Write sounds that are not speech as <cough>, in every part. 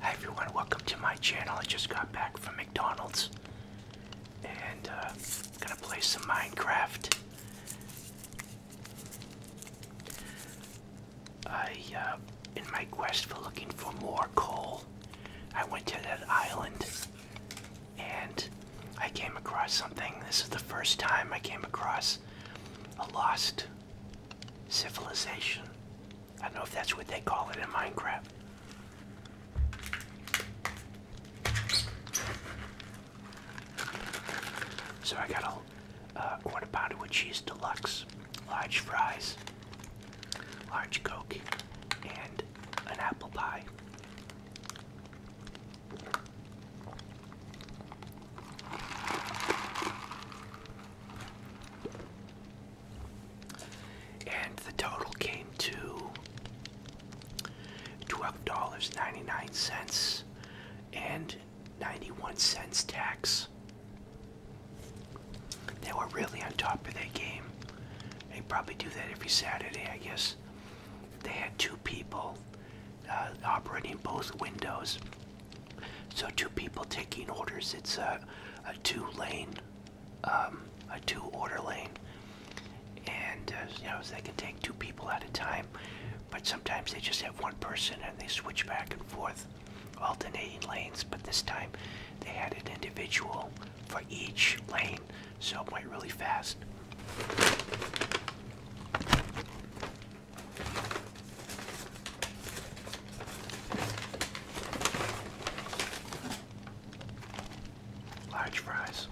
Hi everyone, welcome to my channel. I just got back from McDonald's and uh, gonna play some Minecraft. I, uh, in my quest for looking for more coal, I went to that island and I came across something. This is the first time I came across a lost civilization. I don't know if that's what they call it in Minecraft. So I got a quarter uh, pounder with cheese deluxe, large fries, large coke, and an apple pie. And the total came to $12.99 and 91 cents tax. They were really on top of their game. They probably do that every Saturday, I guess. They had two people uh, operating both windows so two people taking orders. It's a, two-lane, a two-order um, lane, and uh, you know they can take two people at a time. But sometimes they just have one person and they switch back and forth, alternating lanes. But this time, they had an individual for each lane, so it went really fast. Large fries.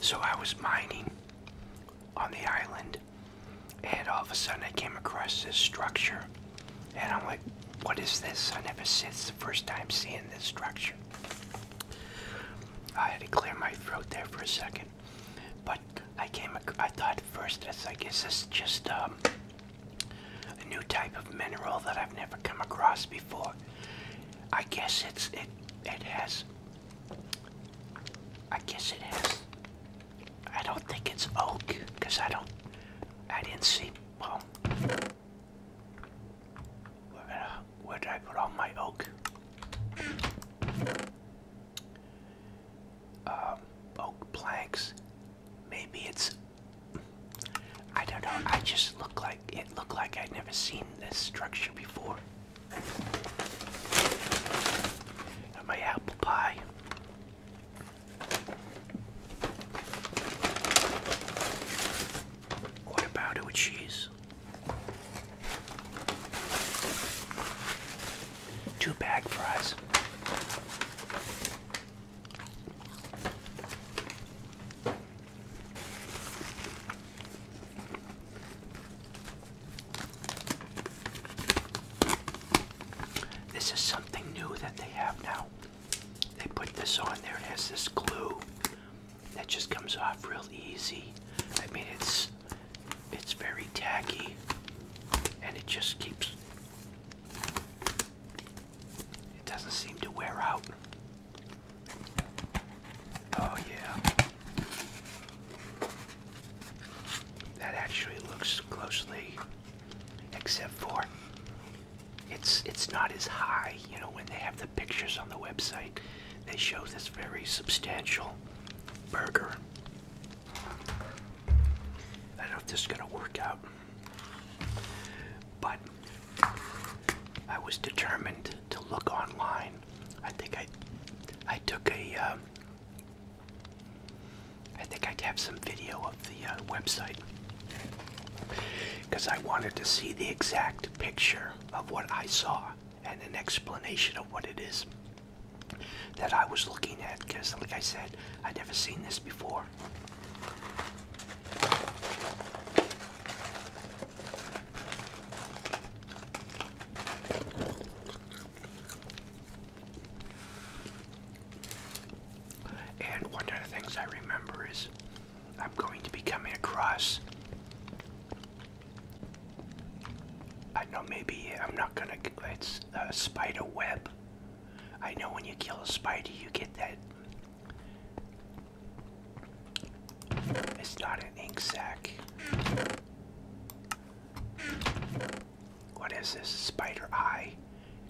So I was mining on the island, and all of a sudden I came across this structure, and I'm like, what is this? I never see it's the first time seeing this structure. I had to clear my throat there for a second, but I came. I thought first, it's like, is this just um, a new type of mineral that I've never come across before. I guess it's it it has I guess it has I don't think it's oak because I don't I didn't see well where did, I, put all my oak? Um, oak planks. Maybe it's I don't know. I just look like it looked like I'd never seen this structure before. And my apple pie. What about it with cheese? Two bag fries. This is something new that they have now. They put this on there, it has this glue that just comes off real easy. I mean, it's it's very tacky, and it just keeps it doesn't seem to wear out. Oh, yeah. That actually looks closely, except for it's it's not as high. You know, when they have the pictures on the website, they show this very substantial burger. I don't know if this is gonna work out. But I was determined to look online. I think I, I took a um, I think i have some video of the uh, website because I wanted to see the exact picture of what I saw and an explanation of what it is that I was looking at because like I said I'd never seen this before and one of the things I remember is I'm going to be coming across. I know maybe I'm not gonna. It's a spider web. I know when you kill a spider, you get that it's not an ink sac. What is this? Spider eye.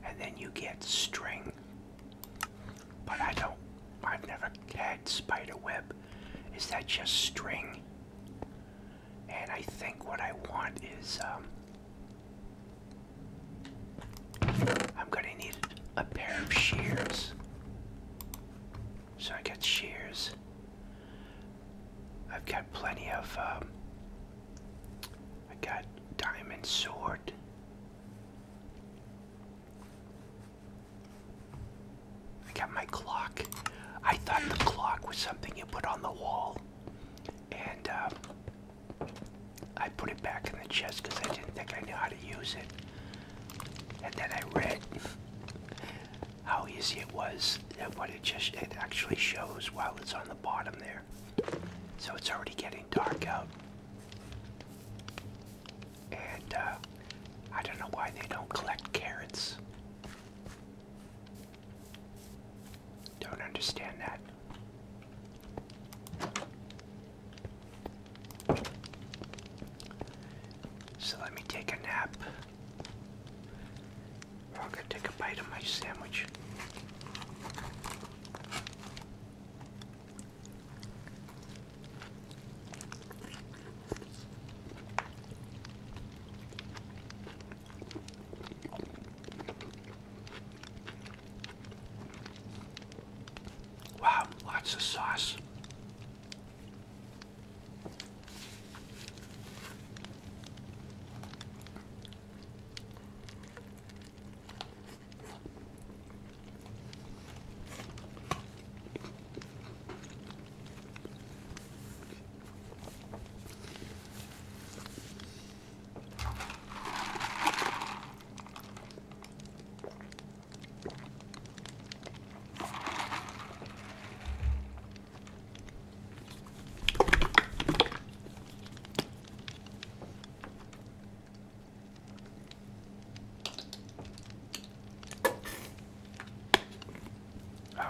And then you get string. But I don't, I've never had spider web. Is that just string? And I think what I want is um, I'm gonna need a pair of shears. So I get shears. I've got plenty of, um, I got diamond sword. I got my clock. I thought the clock was something you put on the wall. And, um, I put it back in the chest because I didn't think I knew how to use it. And then I read how easy it was and what it just it actually shows while it's on the bottom there. So it's already getting dark out. And uh, I don't know why they don't collect carrots. Don't understand that. So let me take a nap. I'll go take a bite of my sandwich. Wow, lots of sauce.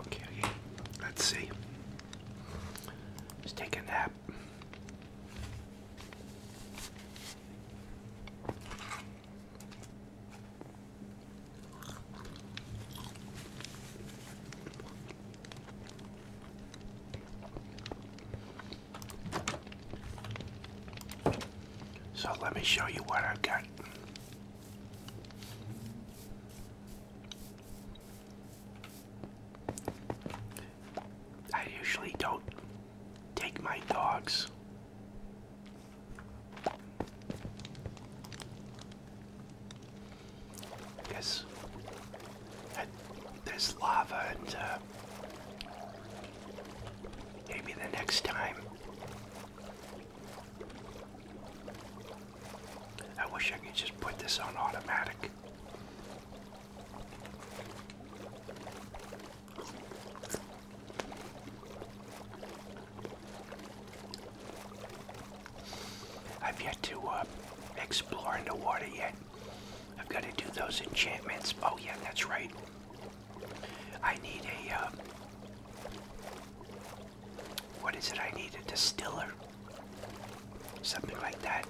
Okay, let's see. Let's take a nap. So let me show you what i got. I usually don't Take my dogs. Yes, there's lava, and uh, maybe the next time. I wish I could just put this on automatic. I've yet to uh, explore in water yet. I've got to do those enchantments. Oh yeah, that's right. I need a, uh, what is it? I need a distiller. Something like that.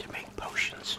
To make potions.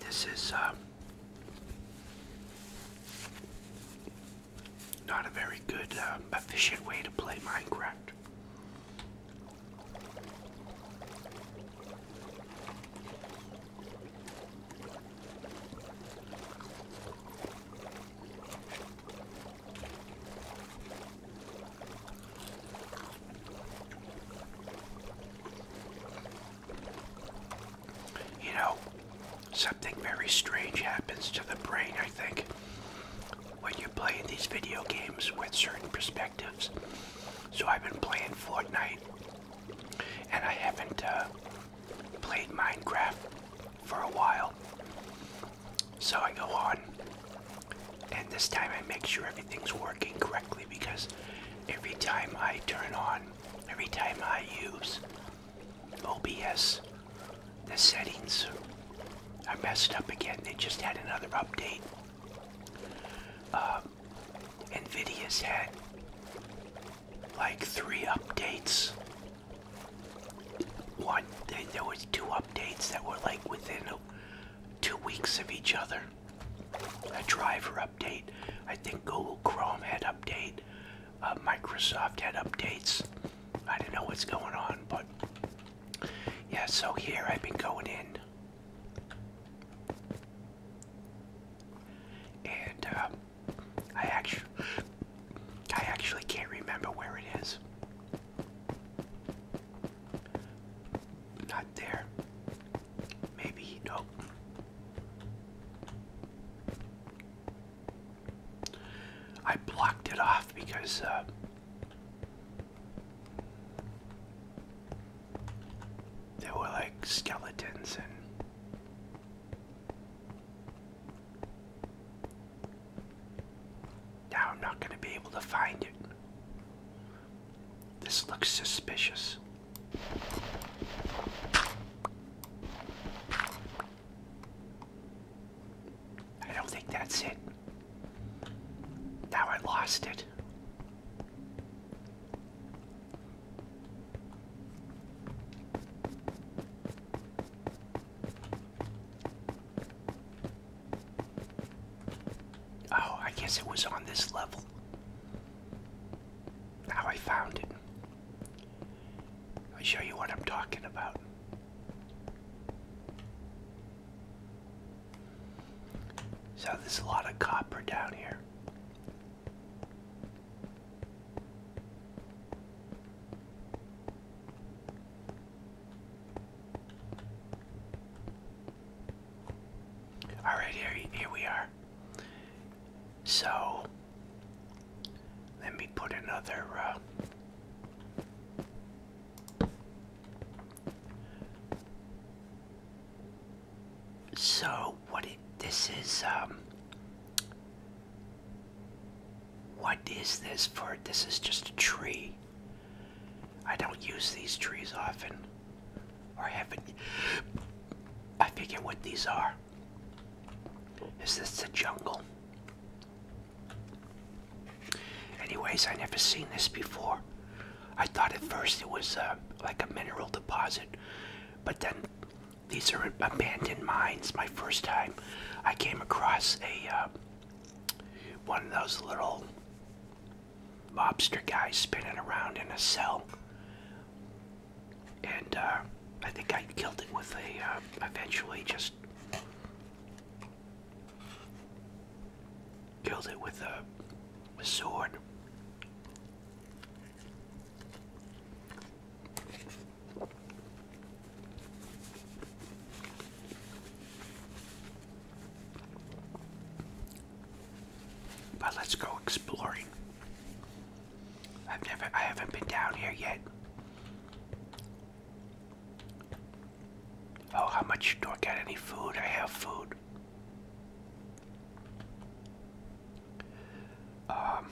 This is uh, not a very good, uh, efficient way to play Minecraft. You know, something very strange happens to the brain, I think, when you're playing these video games with certain perspectives. So I've been playing Fortnite, and I haven't uh, played Minecraft for a while. So I go on, and this time I make sure everything's working correctly because every time I turn on, every time I use OBS, the settings are messed up again. They just had another update. Um, NVIDIA's had like three updates. One, there was two updates that were like within two weeks of each other a driver update. I think Google Chrome had update. Uh, Microsoft had updates. I don't know what's going on, but yeah, so here I've been going in. And um, I actually, I actually can't remember where it is. Not there. Maybe, nope. I blocked it off because uh, were like skeletons and now I'm not going to be able to find it. This looks suspicious. I don't think that's it. Now I lost it. Oh, I guess it was on this level how I found it. I'll show you what I'm talking about. So there's a lot of copper down here. All right, here, here we are. So, let me put another, uh, so what this is, um, what is this for? This is just a tree. I don't use these trees often. Or have I figure what these are. Is this a jungle? Anyways, I never seen this before. I thought at first it was uh, like a mineral deposit, but then these are abandoned mines. My first time, I came across a uh, one of those little lobster guy spinning around in a cell. And uh, I think I killed it with a, uh, eventually just killed it with a, a sword. But let's go exploring. I've never, I haven't been down here yet. Oh, how much do I get? Any food? I have food. Um,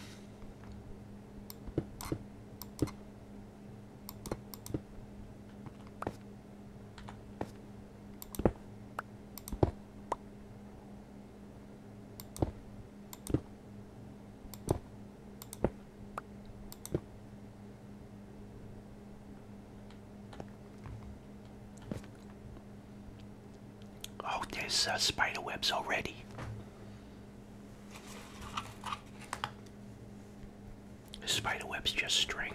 Oh, there's uh, spider webs already. spider web's just string.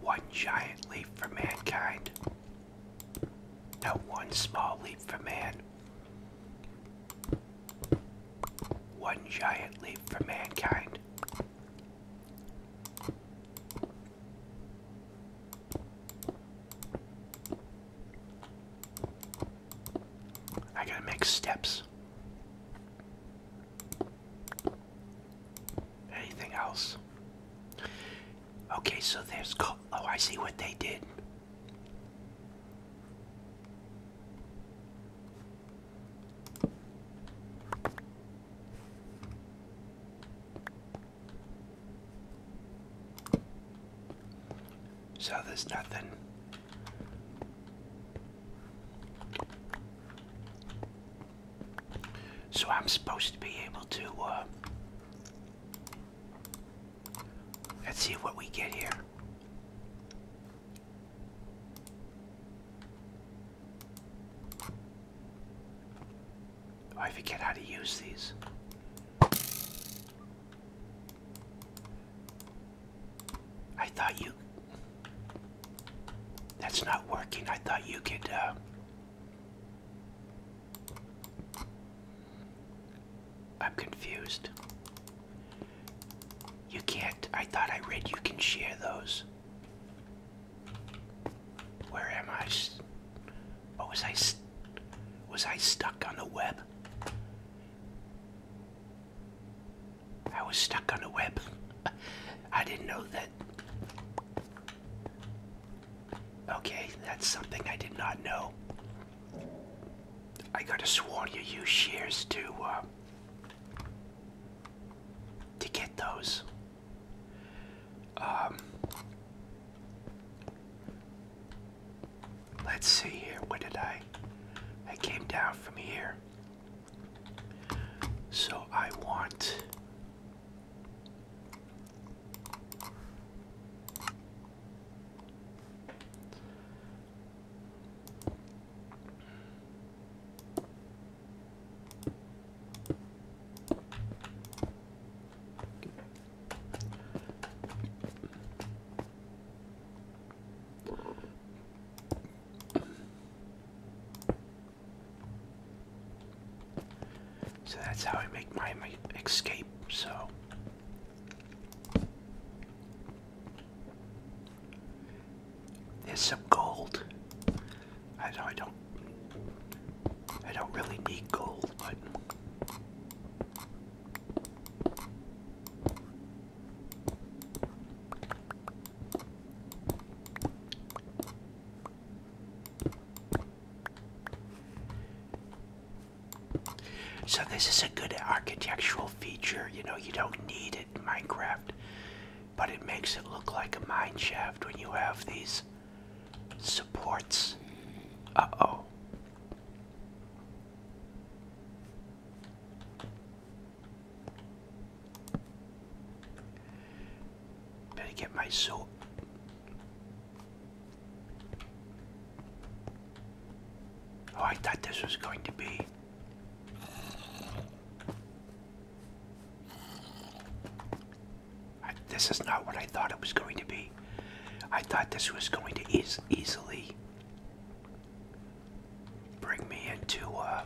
one giant leap for mankind. No one small leap for man. One giant leap for mankind. I gotta make steps. Anything else? Okay, so there's. oh, I see what they did. So there's nothing. So I'm supposed to be able to, uh, let's see what we get here. Oh, I forget how to use these. I thought you that's not working. I thought you could. Uh, I'm confused. You can't. I thought I read you can share those. Where am I? oh, was I? Was I stuck on the web? I was stuck on a web. <laughs> I didn't know that. Okay, that's something I did not know. I gotta sworn you use shears to uh, to get those. Um, let's see here. What did I? I came down from here. So I want so that's how I make my, escape, so. There's some gold. I know I don't I don't really need gold, but so this is a good architectural feature, you know, you don't need it in Minecraft, but it makes it look like a mine shaft when you have these supports. Uh-oh. Better get my soap. Oh, I thought this was going to be. this is not what I thought it was going to be. I thought this was going to e easily bring me into uh,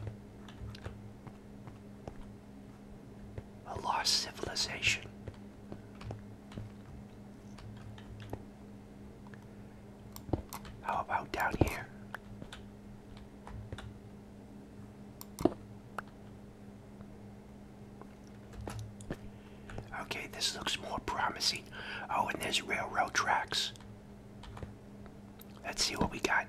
a lost civilization. How about down here? Okay, this looks more promising. Oh, and there's railroad tracks. Let's see what we got.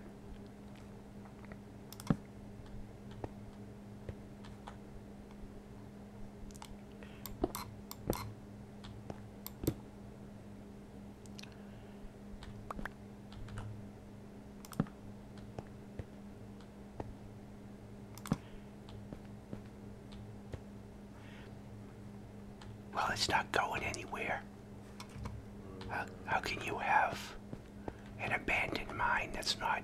Well, it's not going anywhere. How, how can you have an abandoned mine that's not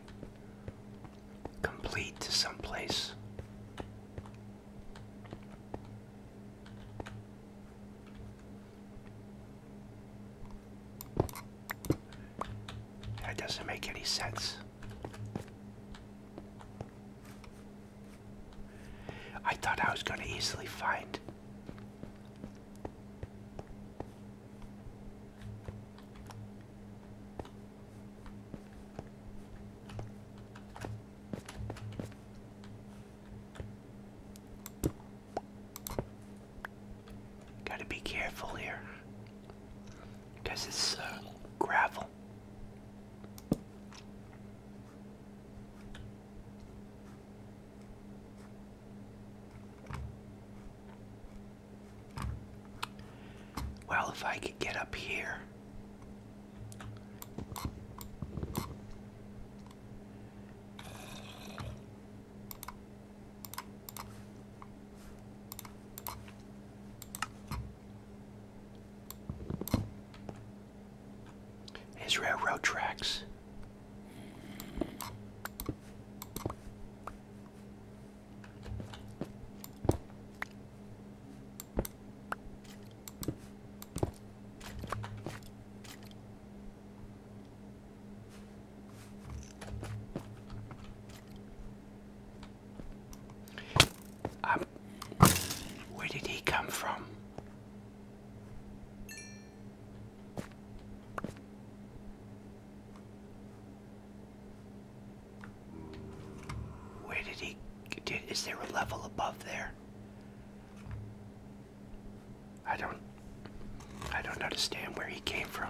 complete to some place? That doesn't make any sense. I thought I was going to easily find Gotta be careful here because it's uh, gravel. Well, if I could get up here. His railroad tracks. Um, where did he come from? Where did he, did, is there a level above there? I don't, I don't understand where he came from.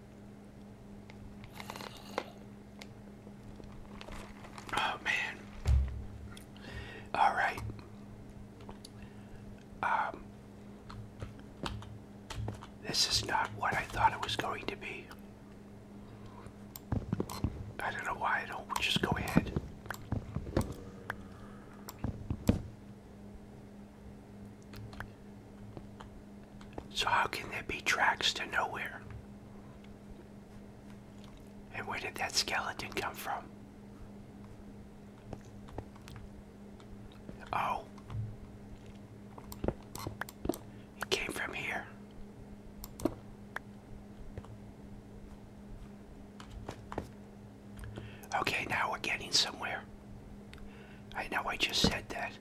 Oh man. All right. Um This is not what I thought it was going to be. I don't know why I don't just go ahead so how can there be tracks to nowhere? And where did that skeleton come from? Oh. It came from here. Okay, now we're getting somewhere. I know I just said that.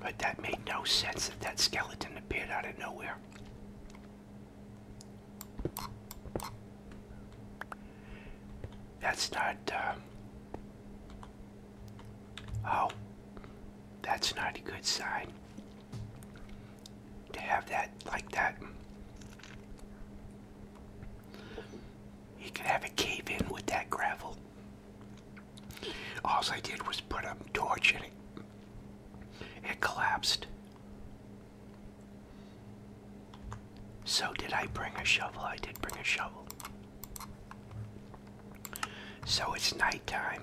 But that made no sense that that skeleton appeared out of nowhere. That's not, uh, oh, that's not a good sign to have that like that. He could have a cave in with that gravel. All I did was put a torch in it. It collapsed. So did I bring a shovel? I did bring a shovel. So it's night time.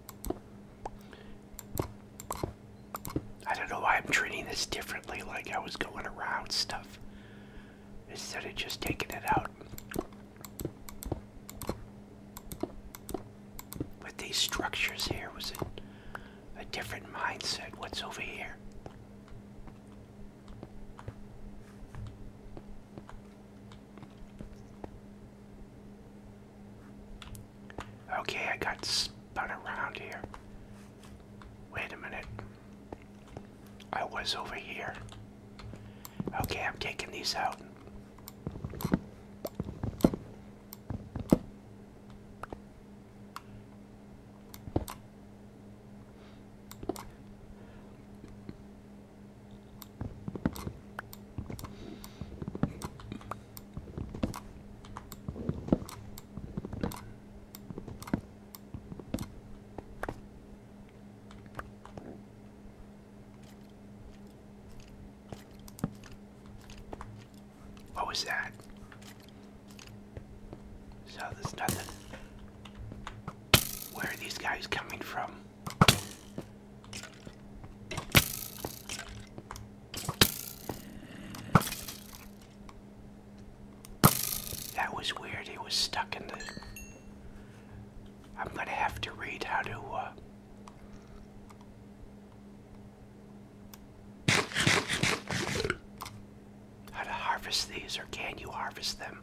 I don't know why I'm treating this differently, like I was going around stuff instead of just taking it out. With these structures here was a, a different mindset. What's over here? Okay, I got spun around here. Wait a minute. I was over here. Okay, I'm taking these out. What was that? So there's nothing. Where are these guys coming from? That was weird. It was stuck in the. I'm gonna have to read how to. Uh, how to harvest these, or can you harvest them?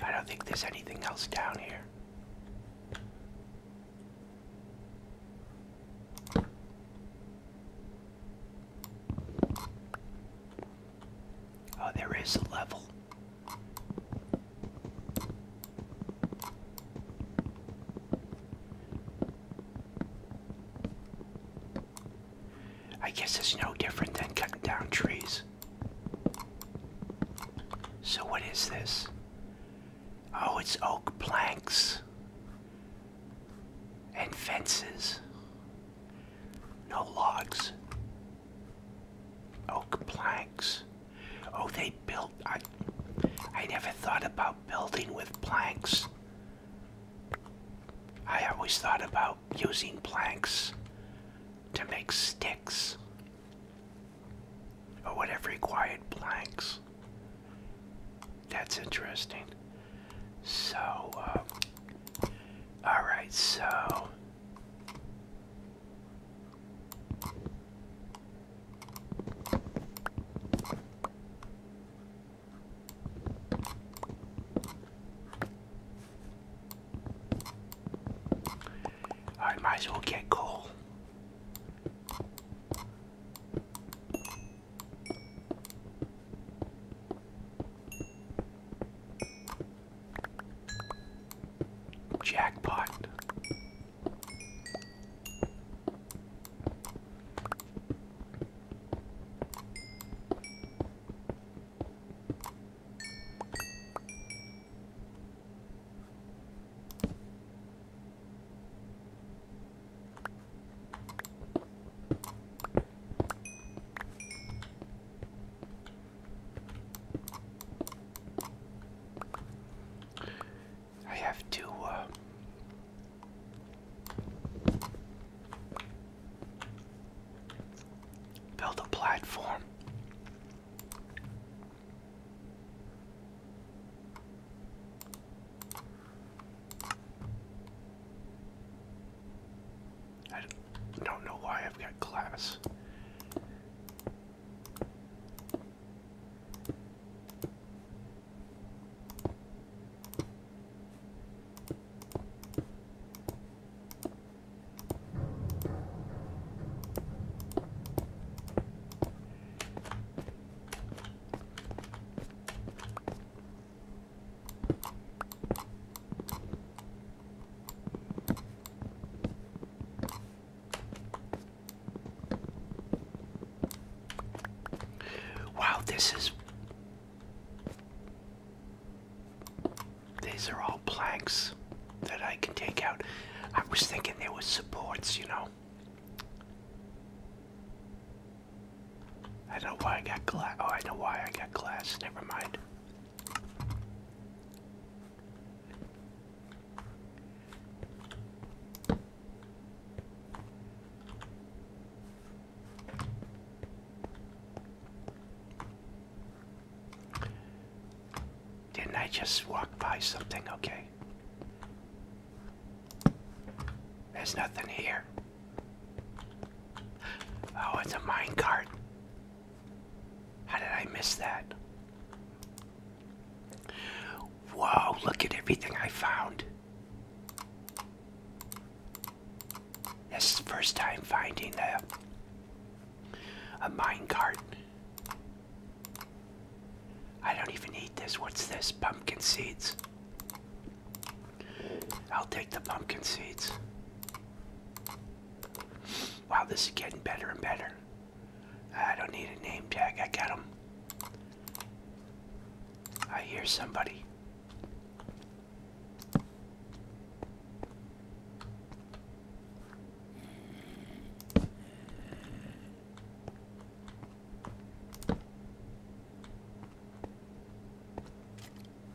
I don't think there's anything else down here. Oh, there is a level. I guess it's no different than cutting down trees. So, what is this? Oh, it's oak planks and fences. No logs. Oak oh, planks. Oh, they built. I, I never thought about building with planks. I always thought about using planks to make sticks or whatever required planks. That's interesting. So, uh, all right, so I might as well get coal. Jackpot. I have to uh, build a platform. I don't know why I've got glass. Wow, this is. These are all planks that I can take out. I was thinking there were supports, you know. I don't know why I got glass. Oh, I know why I got glass. Never mind. Didn't I just walk by something? Okay. There's nothing here. Oh, it's a minecart. How did I miss that? Whoa, look at everything I found. This is the first time finding a a minecart. I don't even need this. What's this? Pumpkin seeds. I'll take the pumpkin seeds. Wow, this is getting better and better. I don't need a name tag. I got them. I hear somebody.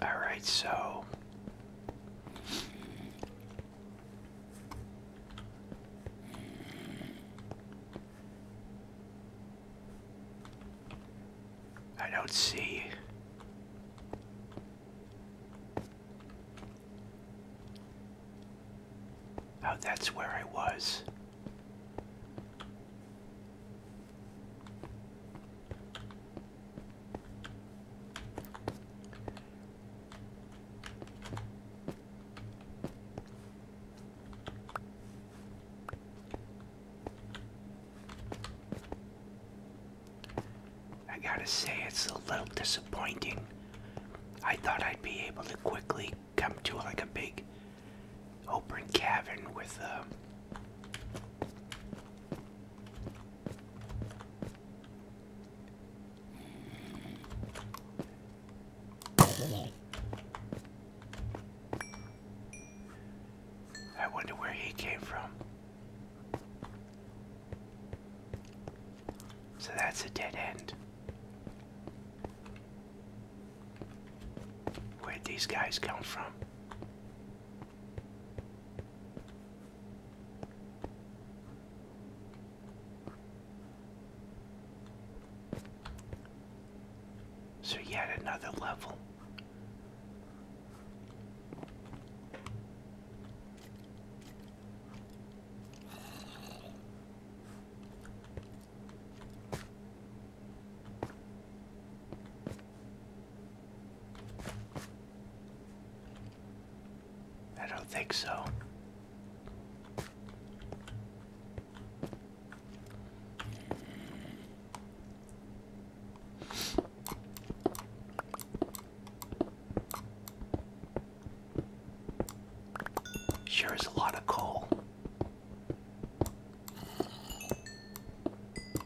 All right, so I don't see Oh, that's where I was. I gotta say, it's a little disappointing. I thought I'd be able to quickly come to like a big open cavern with a uh, I wonder where he came from. So that's a dead end. where these guys come from? So yet another level. I don't think so. Sure is a lot of coal.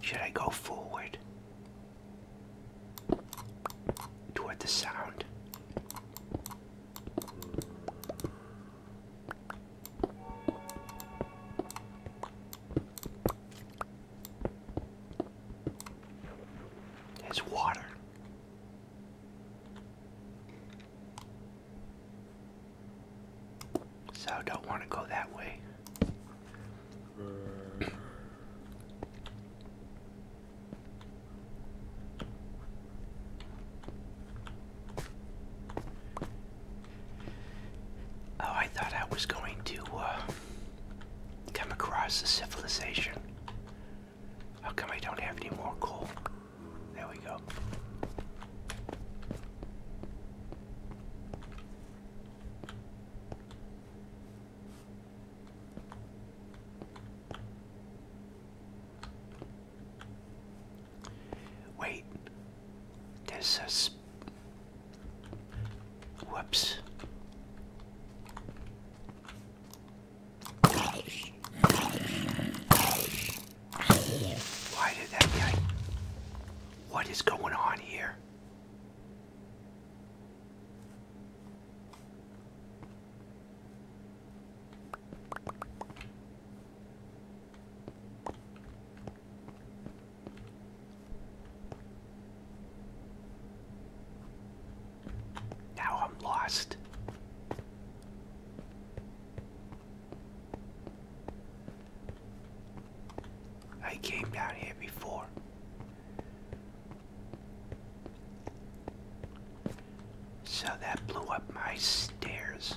Should I go forward toward the sound? There's water. So I don't want to go that way. Oh, I thought I was going to uh, come across a civilization. How come I don't have any more coal? There we go. Wait, there's a. Whoops. Why did that guy? What is going on here? Now I'm lost. I came down here before. So that blew up my stairs.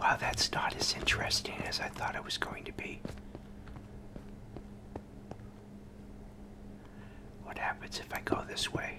Wow, that's not as interesting as I thought it was going to be. What happens if I go this way?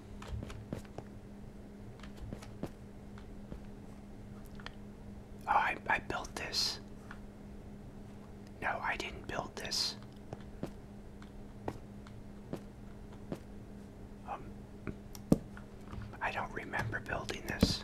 Oh, I, I built this. No, I didn't build this. Um, I don't remember building this.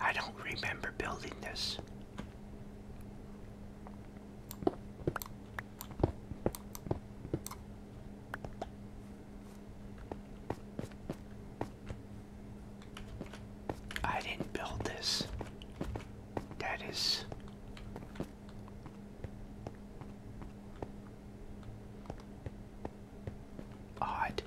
I don't remember building this. I didn't build this. That is. Odd.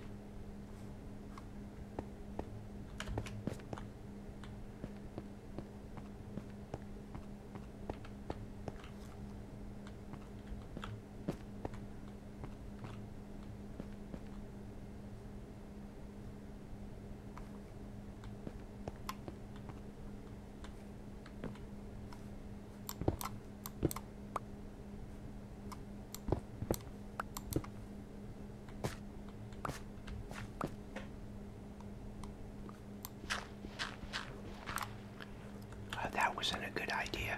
Uh, that wasn't a good idea.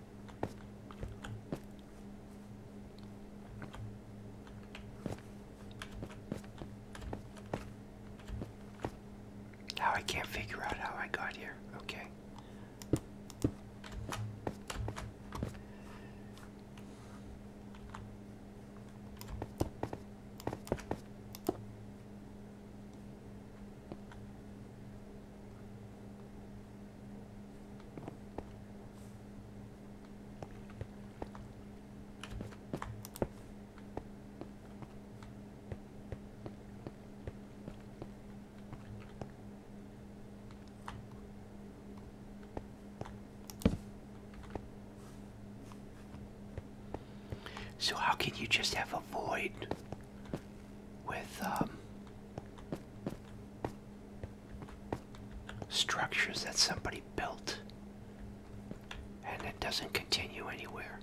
Now I can't figure out how I got here. Okay. So how can you just have a void with um, structures that somebody built and it doesn't continue anywhere.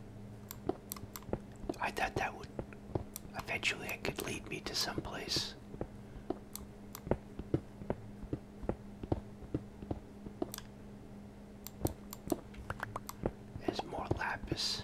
I thought that would eventually it could lead me to someplace. There's more lapis.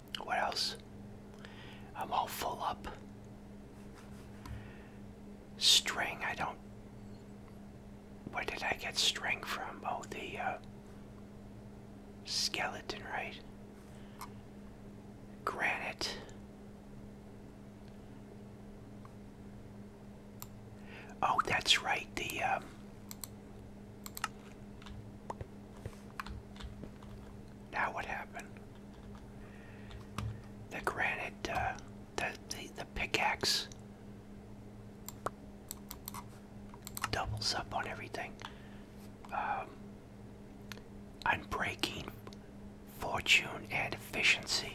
What else? I'm all full up. String, I don't. Where did I get string from? Oh, the uh, skeleton, right? Granite. Oh, that's right. The uh. Now what happened? The granite, uh, the, the, pickaxe doubles up on everything. Um, breaking fortune, and efficiency.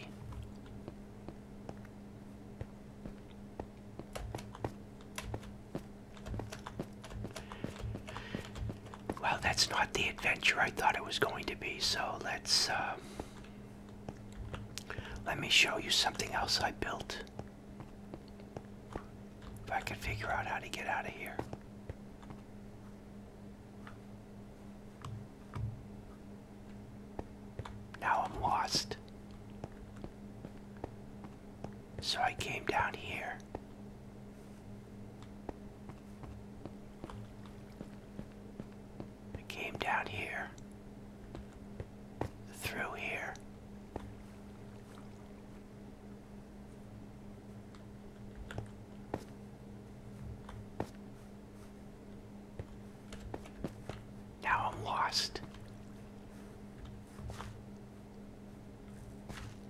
Well, that's not the adventure I thought it was going to be. So let's uh, let me show you something else I built. If I can figure out how to get out of here. Now I'm lost. So I came down here. I came down here, through here. Now I'm lost.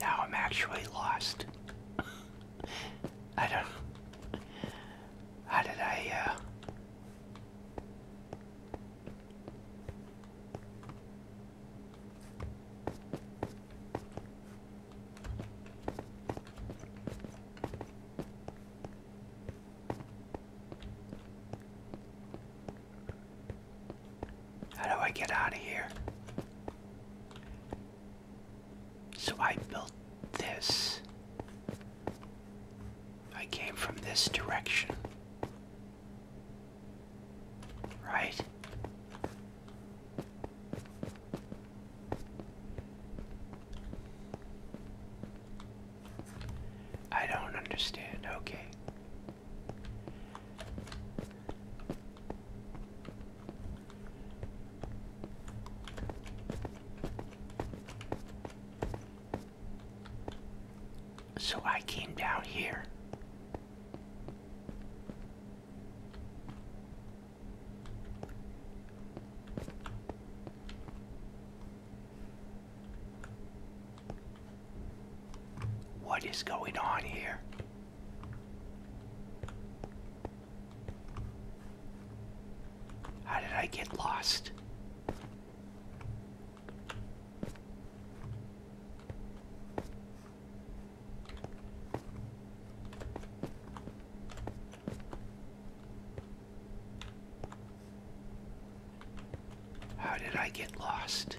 Now I'm actually lost. <laughs> I don't. How did I, uh, how do I get out of here? So I built this. I came from this direction. Right? I don't understand. Okay. So I came down here. What is going on here? How did I get lost? How did I get lost?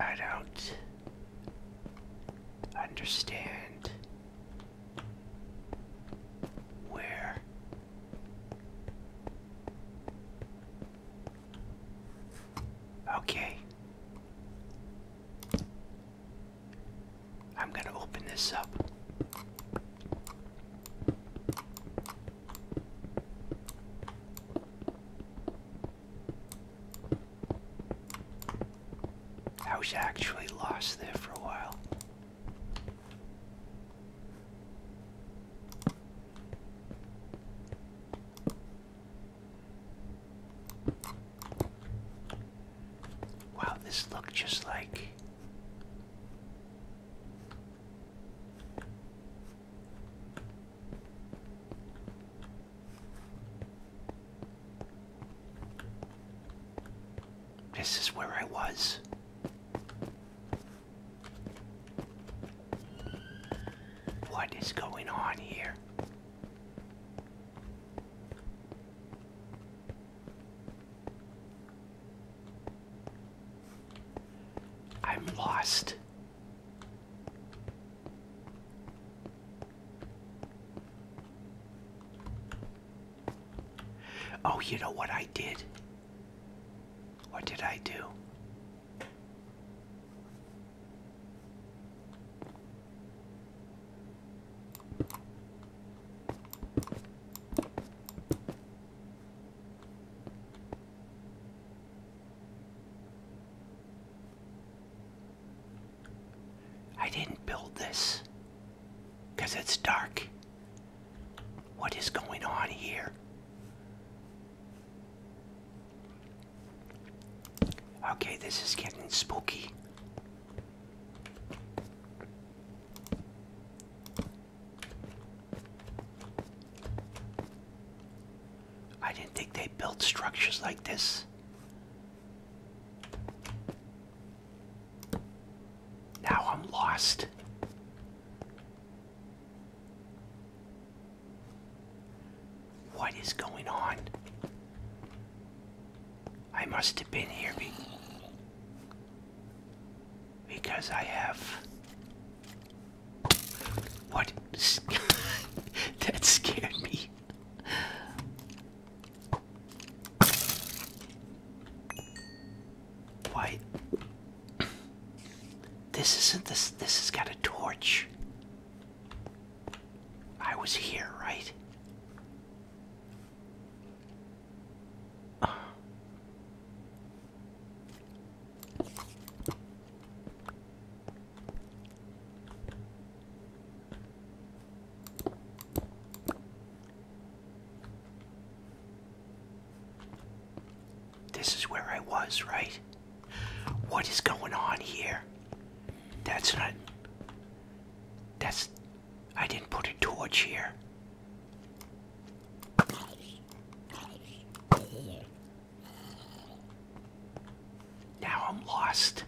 I don't understand where okay I'm going to open this up I was actually lost there for a while. Wow, this looked just like this is where I was. What is going on here? I'm lost. Oh, you know what I did? What did I do? I didn't build this because it's dark. What is going on here? Okay, this is getting spooky. I didn't think they built structures like this. Now I'm lost. What is going on? I must have been here be because I have. What? <laughs> that scared me. Why? This isn't this. This has got a torch. I was here, right? This is where I was, right? What is going on here? That's not. That's. I didn't put a torch here. Now I'm lost.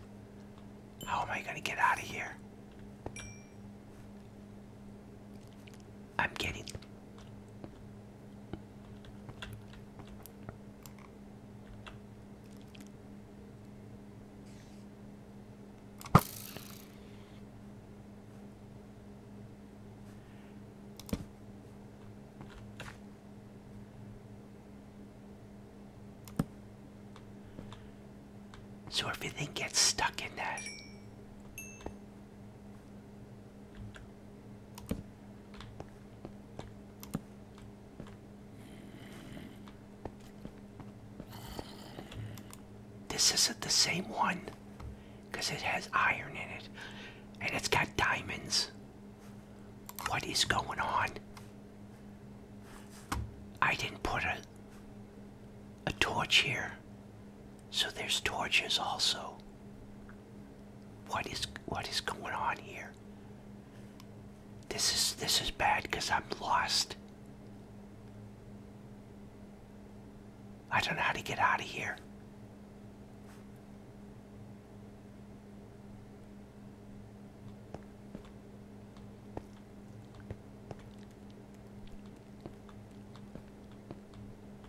How am I going to get out of here? I'm getting. So if everything gets stuck in that. This isn't the same one because it has iron in it and it's got diamonds. What is going on? I didn't put a a torch here. So there's torches also. What is what is going on here? This is this is bad cuz I'm lost. I don't know how to get out of here.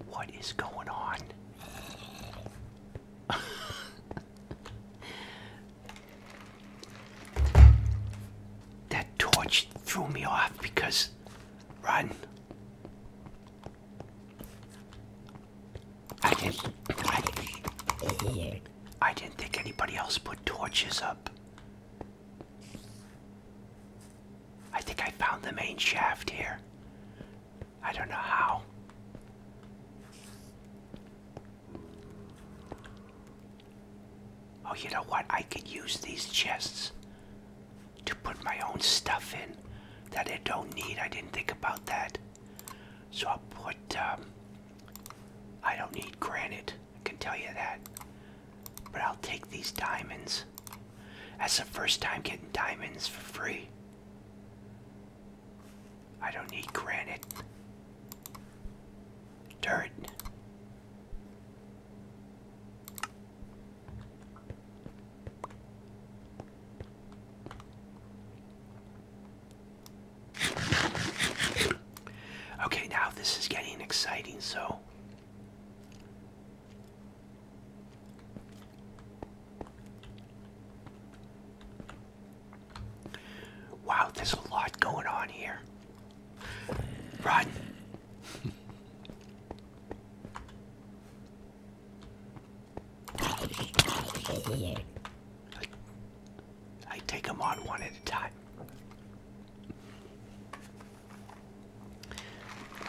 What is going on? that torch threw me off because run. I just not I didn't think anybody else put torches up. I think I found the main shaft here. I don't know how. Oh, you know what? I could use these chests to put my own stuff in that I don't need. I didn't think about that. So I'll put um, I don't need granite, I can tell you that. But I'll take these diamonds. That's the first time getting diamonds for free. I don't need granite. Dirt. Okay, now this is getting exciting, so. Wow, there's a lot going on here. Run! <laughs> I, take them on one at a time.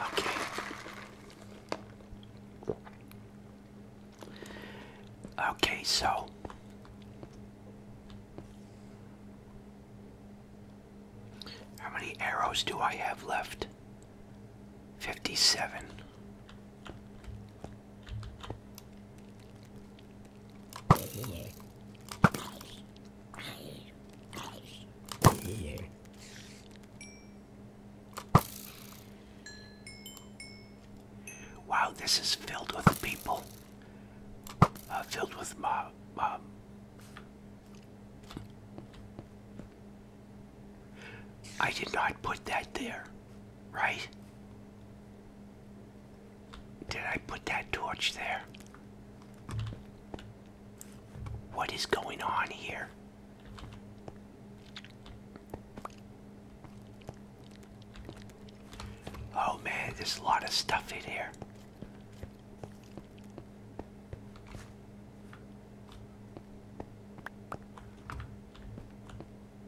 Okay. Okay, so how many arrows do I have left? 57. Wow, this is filled with people. Uh, filled with mom. mom. I did not put that there, right? Did I put that torch there? What is going on here? Oh man, there's a lot of stuff in here.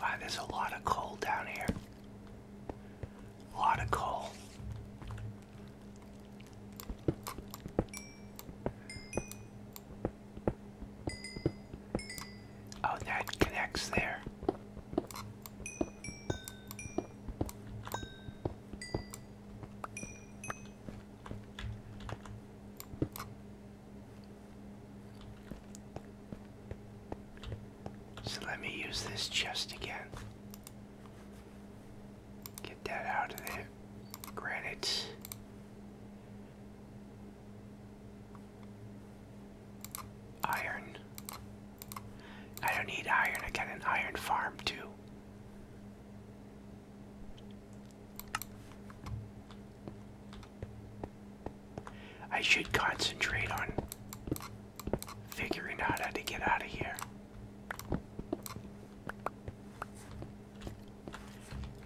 Wow, there's a lot of coal down here. A lot of coal. Oh, that connects there. So let me use this chest again. Get that out of there. Granite. Iron. I don't need iron. I got an iron farm too. I should concentrate on figuring out how to get out of here.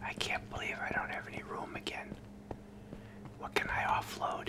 I can't believe I don't have any room again. What can I offload?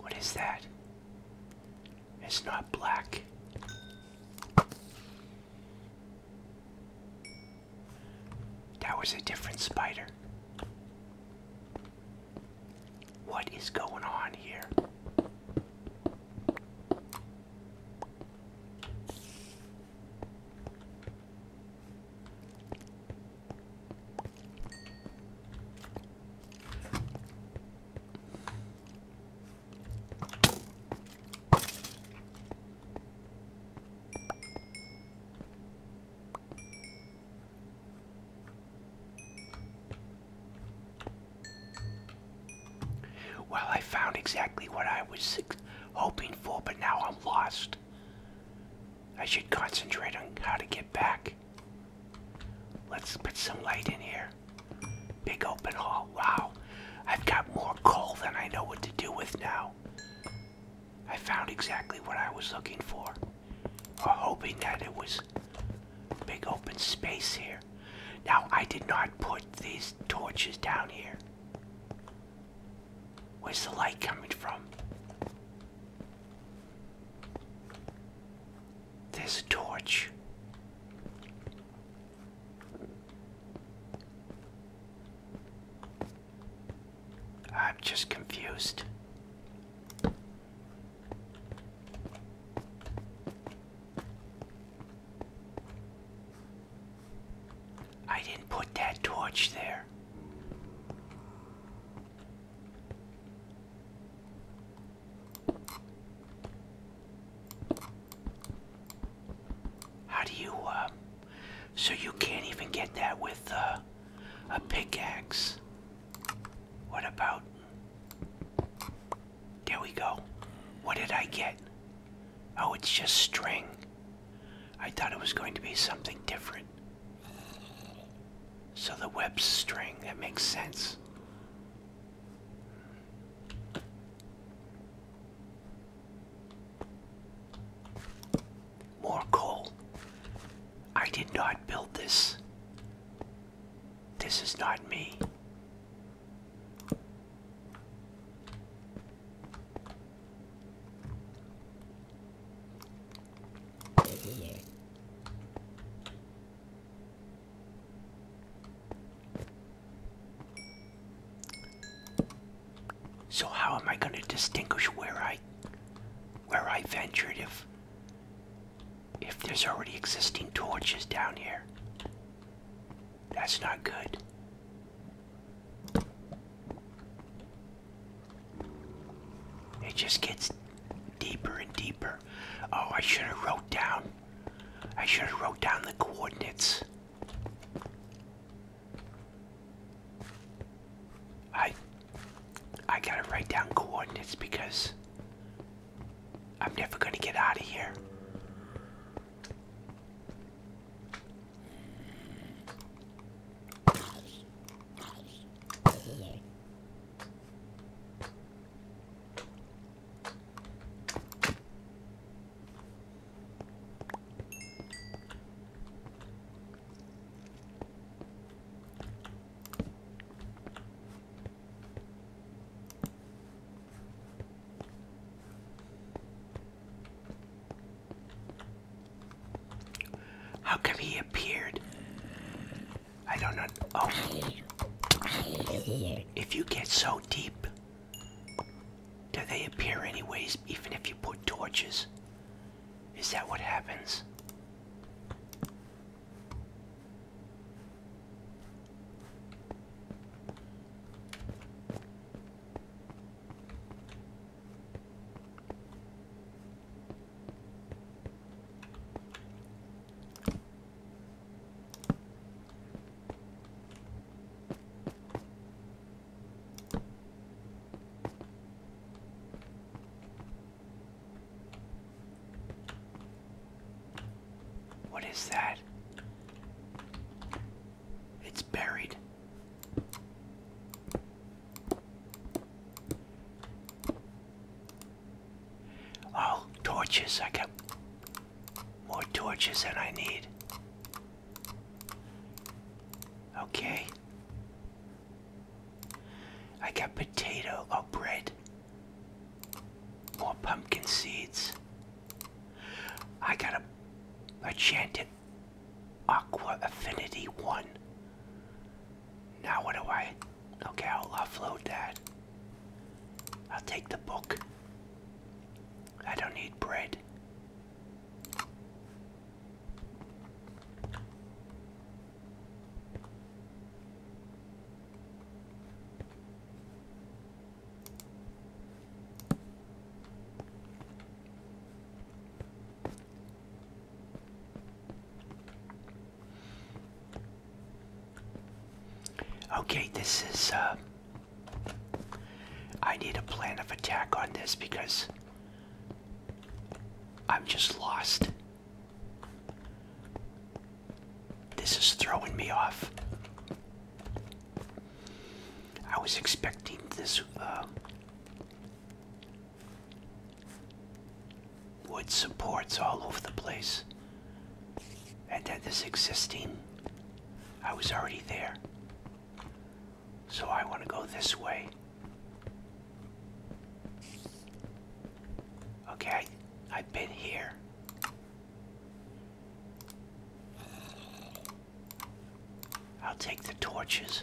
What is that? It's not black. That was a different spider. What is going on here? Well, I found exactly what I was hoping for, but now I'm lost. I should concentrate on how to get back. Let's put some light in here. Big open hall. Wow. I've got more coal than I know what to do with now. I found exactly what I was looking for. Or hoping that it was big open space here. Now, I did not put these torches down here. Where's the light coming from? This torch. I'm just confused. I didn't put that torch there. How do you, uh, so you can't even get that with uh, a pickaxe? What about? There we go. What did I get? Oh, it's just string. I thought it was going to be something different. So the web's string, that makes sense. More coal. I did not build this. This is not me. So how am I going to distinguish where I where I ventured if if there's already existing torches down here? That's not good. It just gets deeper and deeper. Oh, I should have wrote down. I should have wrote down the coordinates. I I gotta write down coordinates because I'm never gonna get out of here. How come he appeared I don't know. Oh. If you get so deep, do they appear anyways, even if you put torches? Is that what happens? What is that? It's buried. Oh, torches. I got more torches than I need. Okay. I got potato. Oh, bread. More pumpkin seeds. I got a, enchanted aqua affinity one. Now what do I? Okay, I'll offload that. I'll take the book. I don't need bread. Okay, this is, uh, I need a plan of attack on this because I'm just lost. This is throwing me off. I was expecting this, uh, wood supports all over the place. And this existing. I was already there. So I want to go this way. Okay, I've been here. I'll take the torches.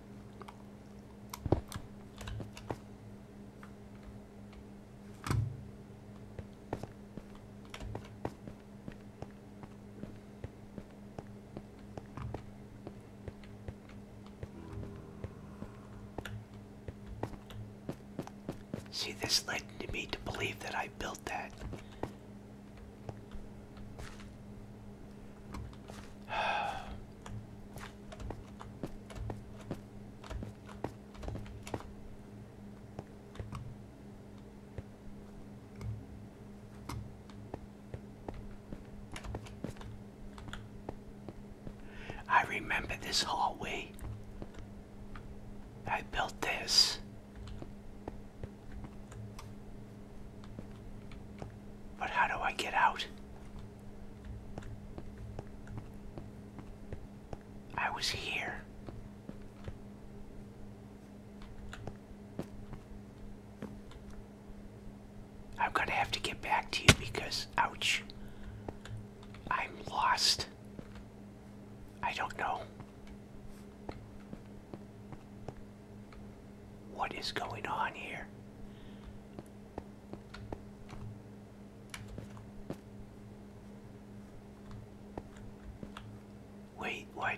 See, this led me to believe that I built that. <sighs> <sighs> I remember this hallway. I built this. But how do I get out? I was here. I'm gonna have to get back to you because, ouch, I'm lost. I don't know what is going on here. Wait, what?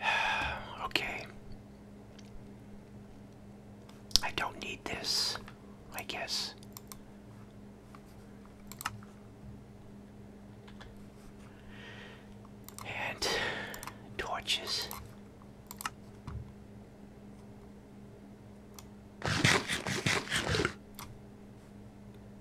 <sighs> okay. I don't need this, I guess. And torches.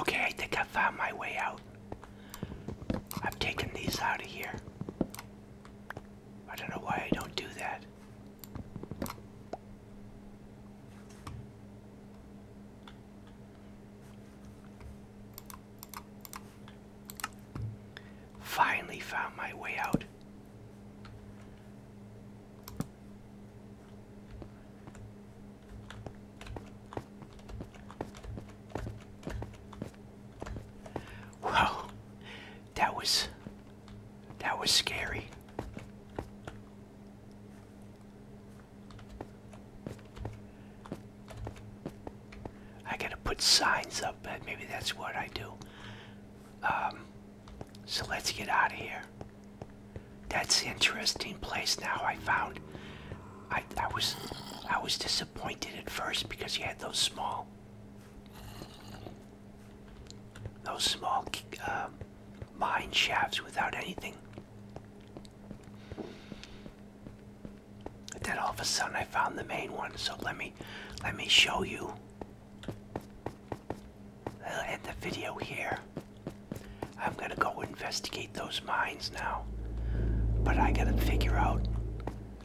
Okay, I think I found my way out. I've taken these out of here. I don't know why I don't do that. Finally found my way out. Wow, that was that was scary. I gotta put signs up, and maybe that's what I do. Um, so let's get out of here. That's an interesting place now I found. I, I was I was disappointed at first because you had those small those small um, mine shafts without anything. But then all of a sudden I found the main one. So let me let me show you I'll end the video here. I'm gonna go investigate those mines now. But I gotta figure out,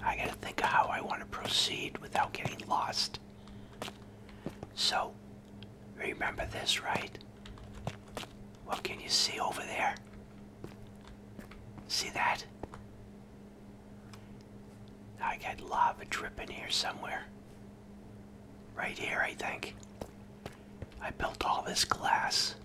I gotta think of how I wanna proceed without getting lost. So, remember this, right? What can you see over there? See that? I got lava dripping here somewhere. Right here, I think. I built all this glass.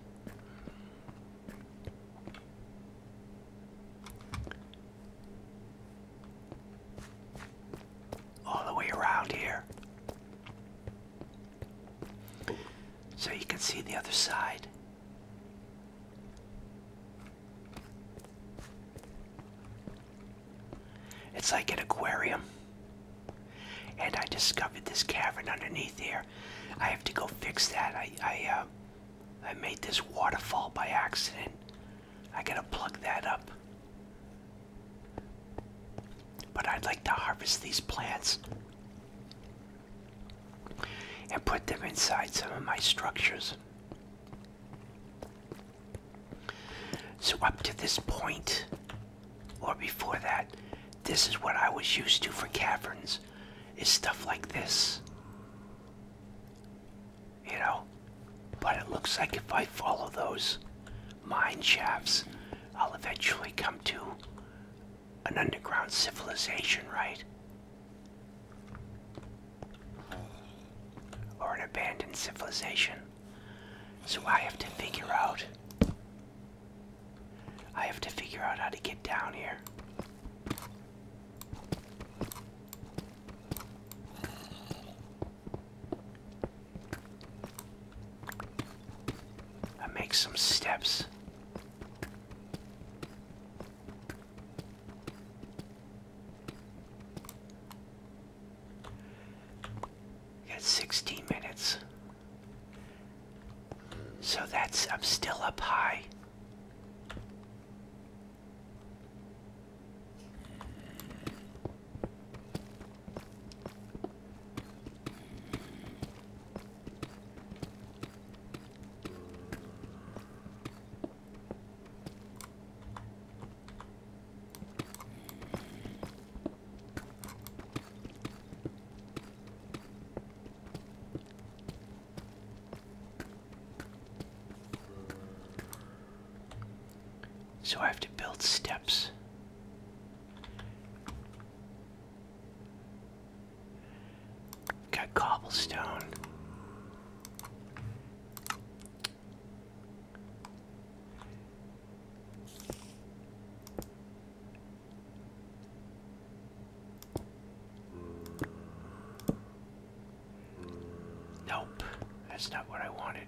All the way around here. So you can see the other side. It's like an aquarium. And I discovered this cavern underneath here. I have to go fix that. I I uh, I made this waterfall by accident. I gotta plug that up. But I'd like to harvest these plants and put them inside some of my structures. So, up to this point, or before that, this is what I was used to for caverns, is stuff like this. You know? But it looks like if I follow those mine shafts, I'll eventually come to an underground civilization, right? or an abandoned civilization. So I have to figure out. I have to figure out how to get down here. I make some steps got 16 minutes. So that's, I'm still up high. So I have to build steps. Got cobblestone. Nope, that's not what I wanted.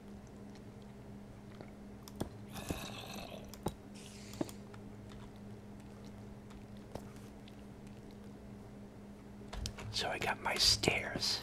So I got my stairs.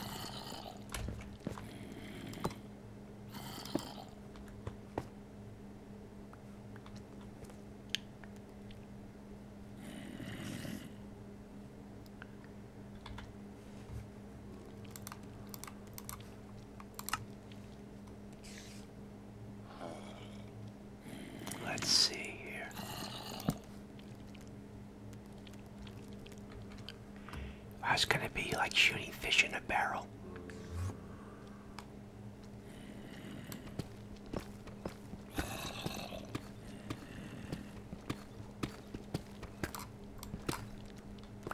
Let's see here. That's gonna be like shooting fish in a barrel.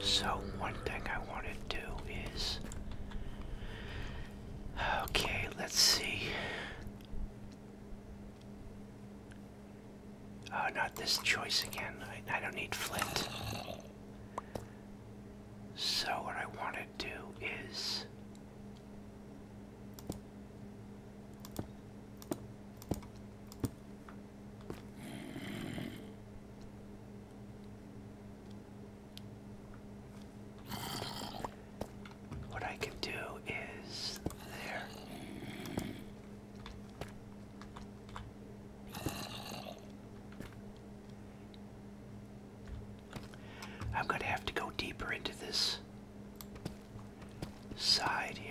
So one thing I want to do is okay, let's see. Oh, not this choice again. I, don't need flint. So what I want to do is what I can do is there. I'm going to have to go deeper into this side here.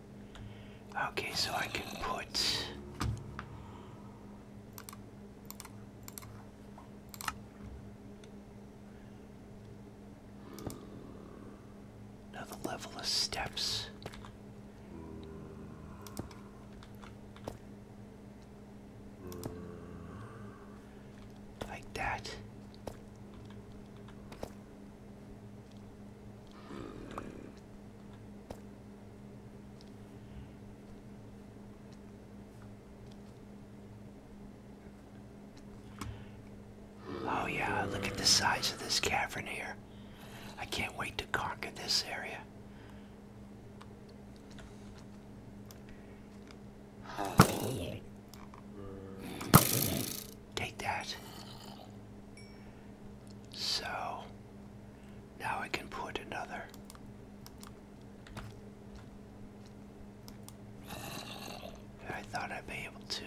Okay, so I can put another level of steps. Like that. Oh yeah, look at the size of this cavern here. I can't wait to conquer this area. Take that. So now I can put another. I thought I'd be able to.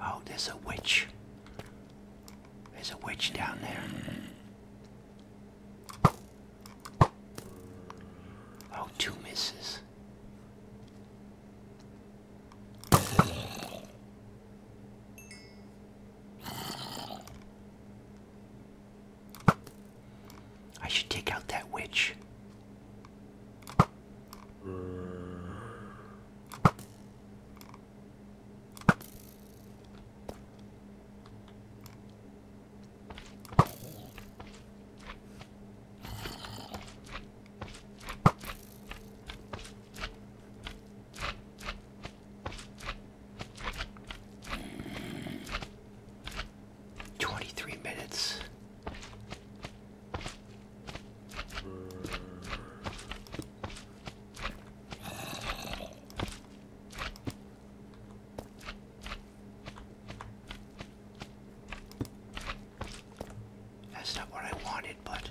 Oh, there's a witch. There's a witch down there. Oh, two misses this. I should take out that witch. Twenty-three minutes. That's not what I wanted, but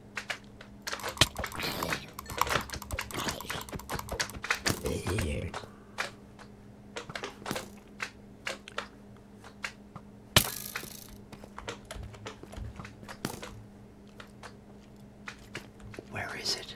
Where is it?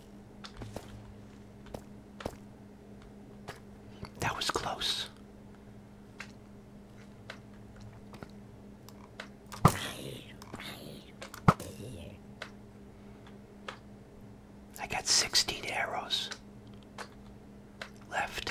That was close. I got 16 arrows left.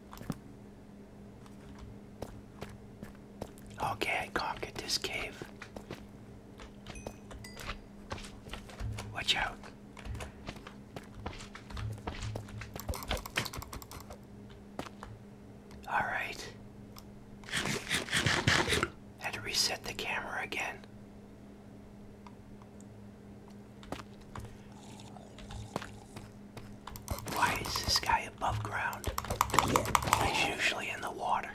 Okay, I conquered this cave. Watch out. All right. Had to reset the camera again. Why is this guy above ground? He's usually in the water.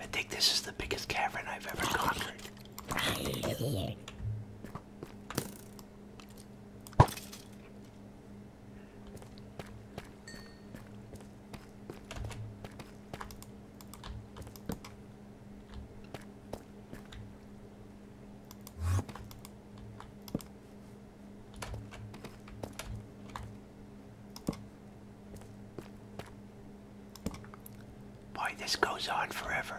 I think this is the biggest cavern I've ever conquered. Boy, this goes on forever.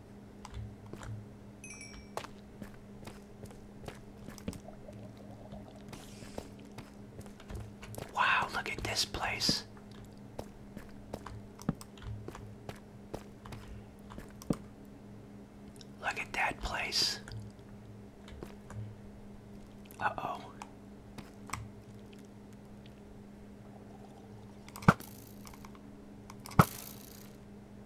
Wow, look at this place. Look at that place. Uh-oh.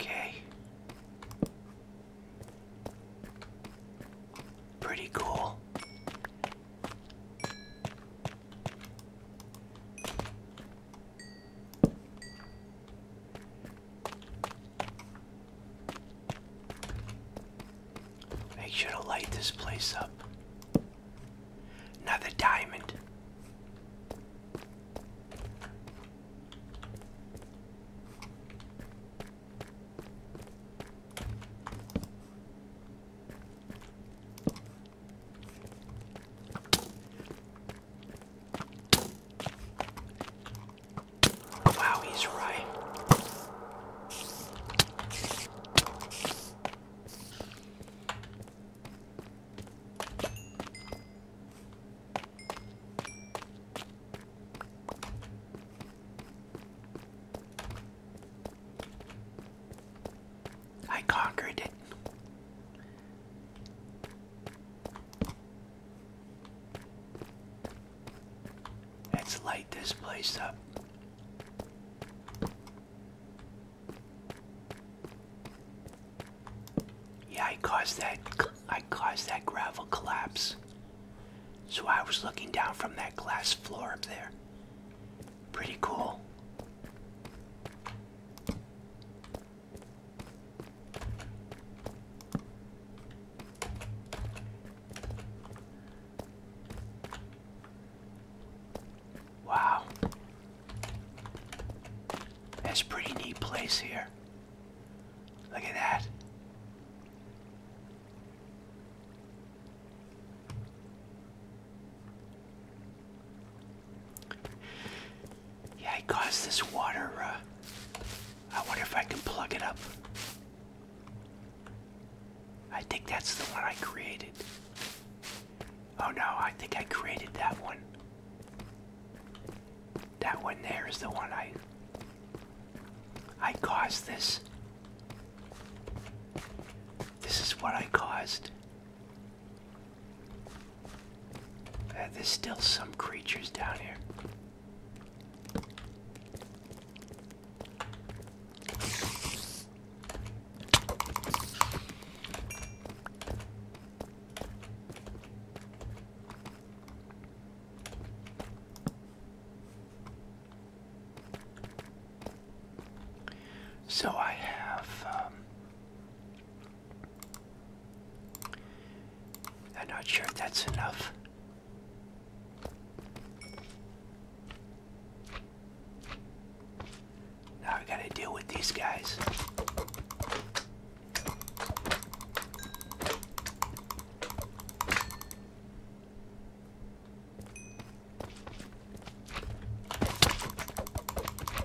Okay. Pretty cool. Make sure to light this place up. the diamond. Wow, he's right. I conquered it. Let's light this place up. Yeah, I caused that I caused that gravel collapse. So I was looking down from that glass floor up there. Pretty cool. Wow. That's a pretty neat place here. Look at that. Yeah, I caused this water. Uh, I wonder if I can plug it up. I think that's the one I created. Oh no, I think I created that one. That one there is the one I I caused this. This is what I caused. Uh, there's still some creatures down here. So I have um, I'm not sure if that's enough. Now I gotta deal with these guys.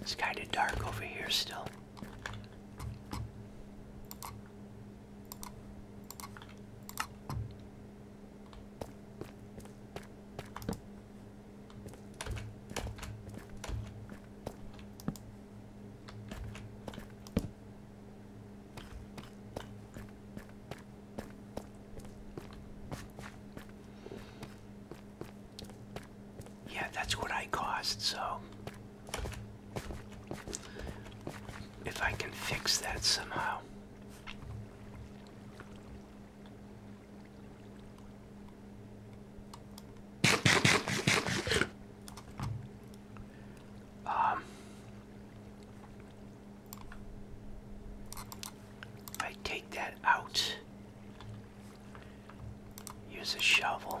It's kind of dark over here still. Yeah, that's what I cost, so if I can fix that somehow. Um, I take that out Use a shovel.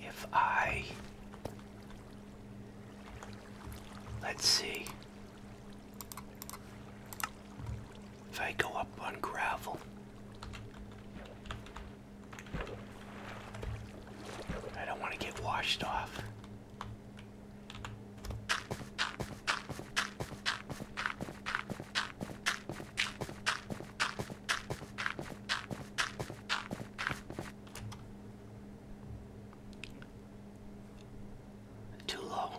If I let's see if I go up on gravel. I don't want to get washed off. Too low.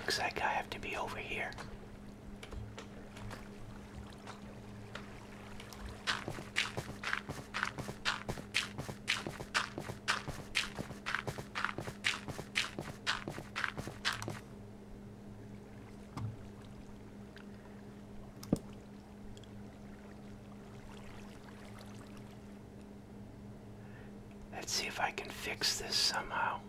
Looks like I have to be over here. Let's see if I can fix this somehow.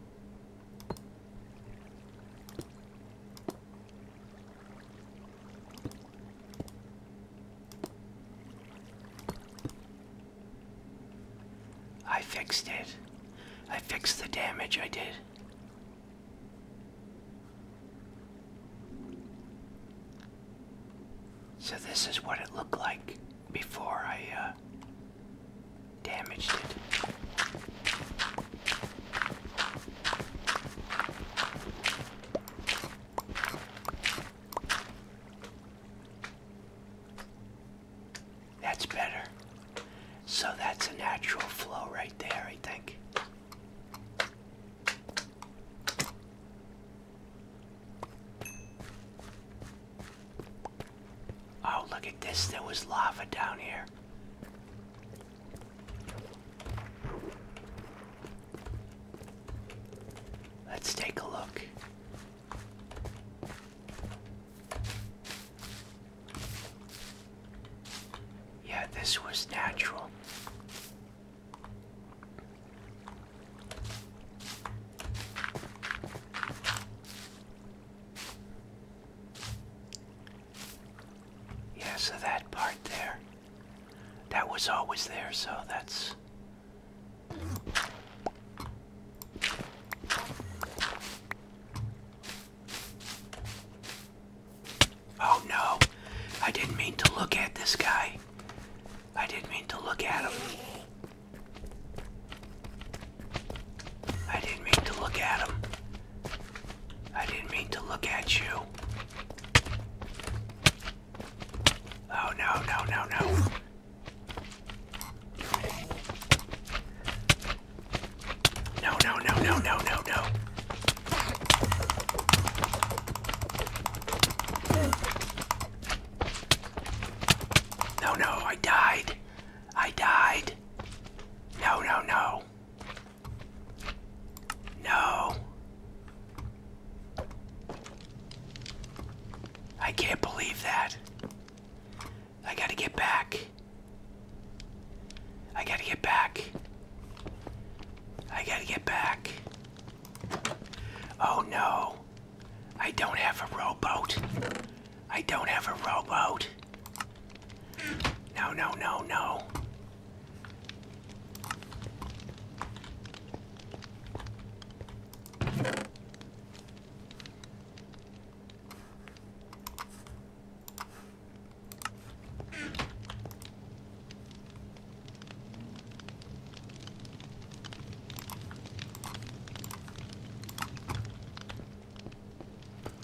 I fixed it. I fixed the damage I did. So this is what it looked like before I uh, damaged it. That's better. So that's a natural flow right there, I think. Oh, look at this. There was lava down here. Let's take a look. Yeah, this was natural. Yeah, so that part there, that was always there, so that's. Oh no, I didn't mean to look at this guy. I didn't mean to look at him. I didn't mean to look at him. I didn't mean to look at you. Oh no, no, no, no. No, no, no, no, no, no, no. No, no, I died. I died. No, no, no. No. I can't believe that. I gotta get back. I gotta get back. I gotta get back. Oh no. I don't have a rowboat. I don't have a rowboat. No, no, no, no.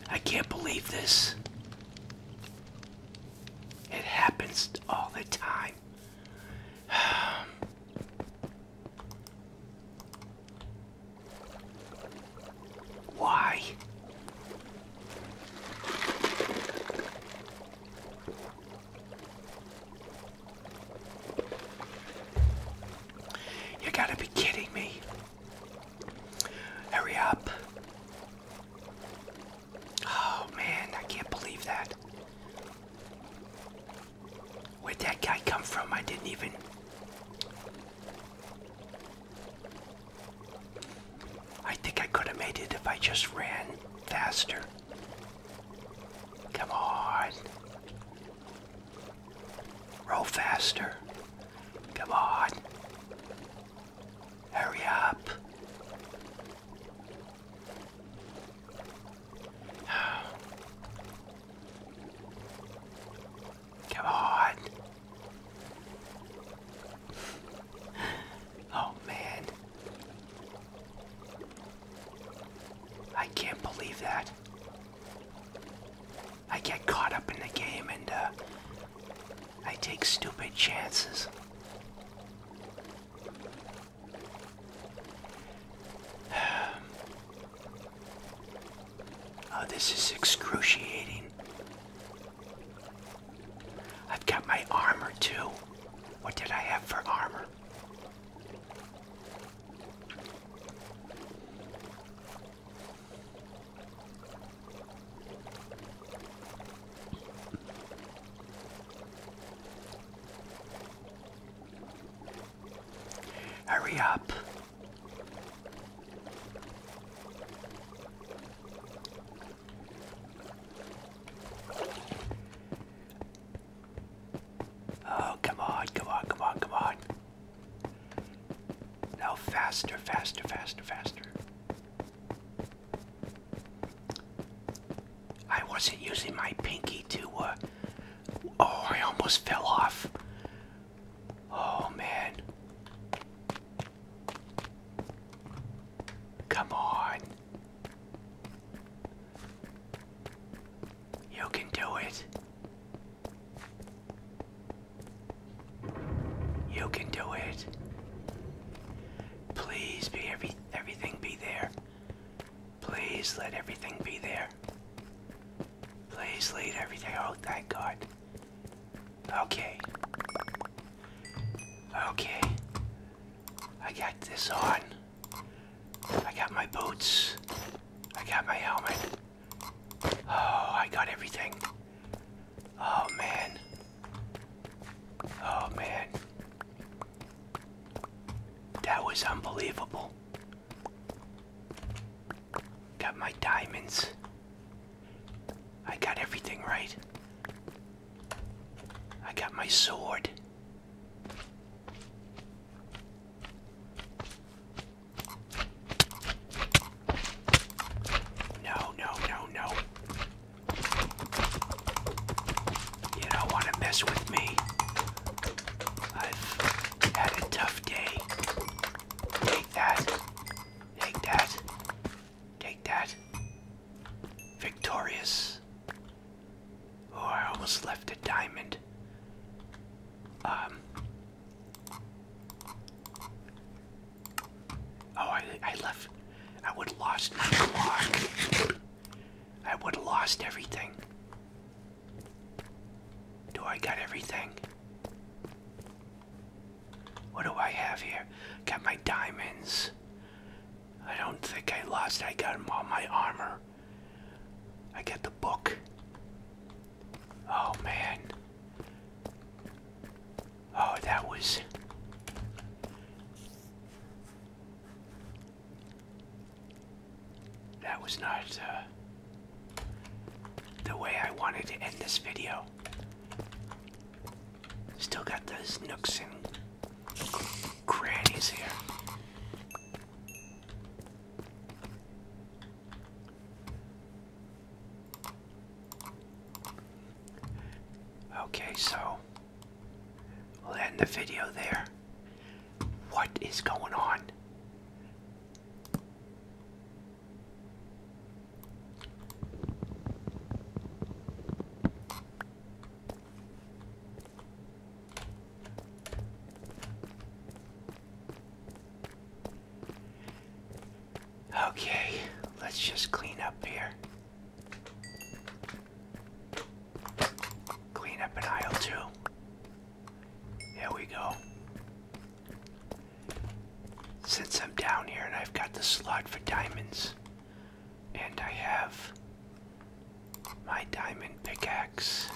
I can't believe this. It happens all the time. <sighs> Why? You gotta be kidding me. Hurry up. Oh man, I can't believe that. Where'd that guy come from? I didn't even. I think I could have made it if I just ran faster. Come on. Roll faster. Come on. Hurry up. Come on. Oh man. I can't believe that. I get caught up in the game and uh, I take stupid chances. <sighs> oh, this is excruciating. I've got my armor too. What did I have for armor? Hurry up. Oh, come on, come on, come on, come on. Now faster, faster, faster, faster. I wasn't using my pinky to, uh, oh, I almost fell off. Oh, man. Come on. You can do it. You can do it. Please be every everything be there. Please let everything be there. Please lead everything. Oh, thank God. Okay. Okay. I got this on. I got my boots. I got my helmet. Oh, I got everything. Oh, man. Oh, man. That was unbelievable. Got my diamonds. I got everything right. I got my sword. No, no, no, no. You don't want to mess with me. I've had a tough day. Take that. Take that. Take that. Victorious. Oh, I almost left a diamond. Um, Oh, I, I left. I would have lost my clock. I would have lost everything. Do I got everything? What do I have here? Got my diamonds. I don't think I lost. I got all my armor. I got the book. Oh man. Oh, that was. That was not uh, the way I wanted to end this video. Still got those nooks and crannies here. Okay, so we'll end the video there. What is going on? Okay, let's just clean up here. Clean up an aisle too. There we go. Since I'm down here and I've got the slot for diamonds, and I have my diamond pickaxe.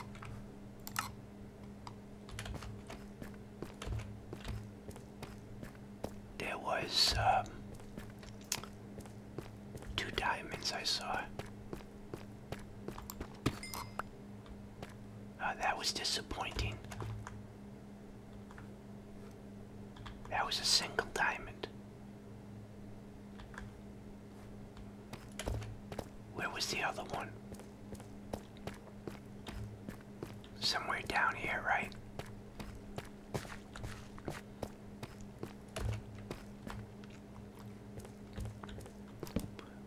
There was um, two diamonds I saw. Uh, that was disappointing. That was a single diamond. Where was the other one? Somewhere down here, right?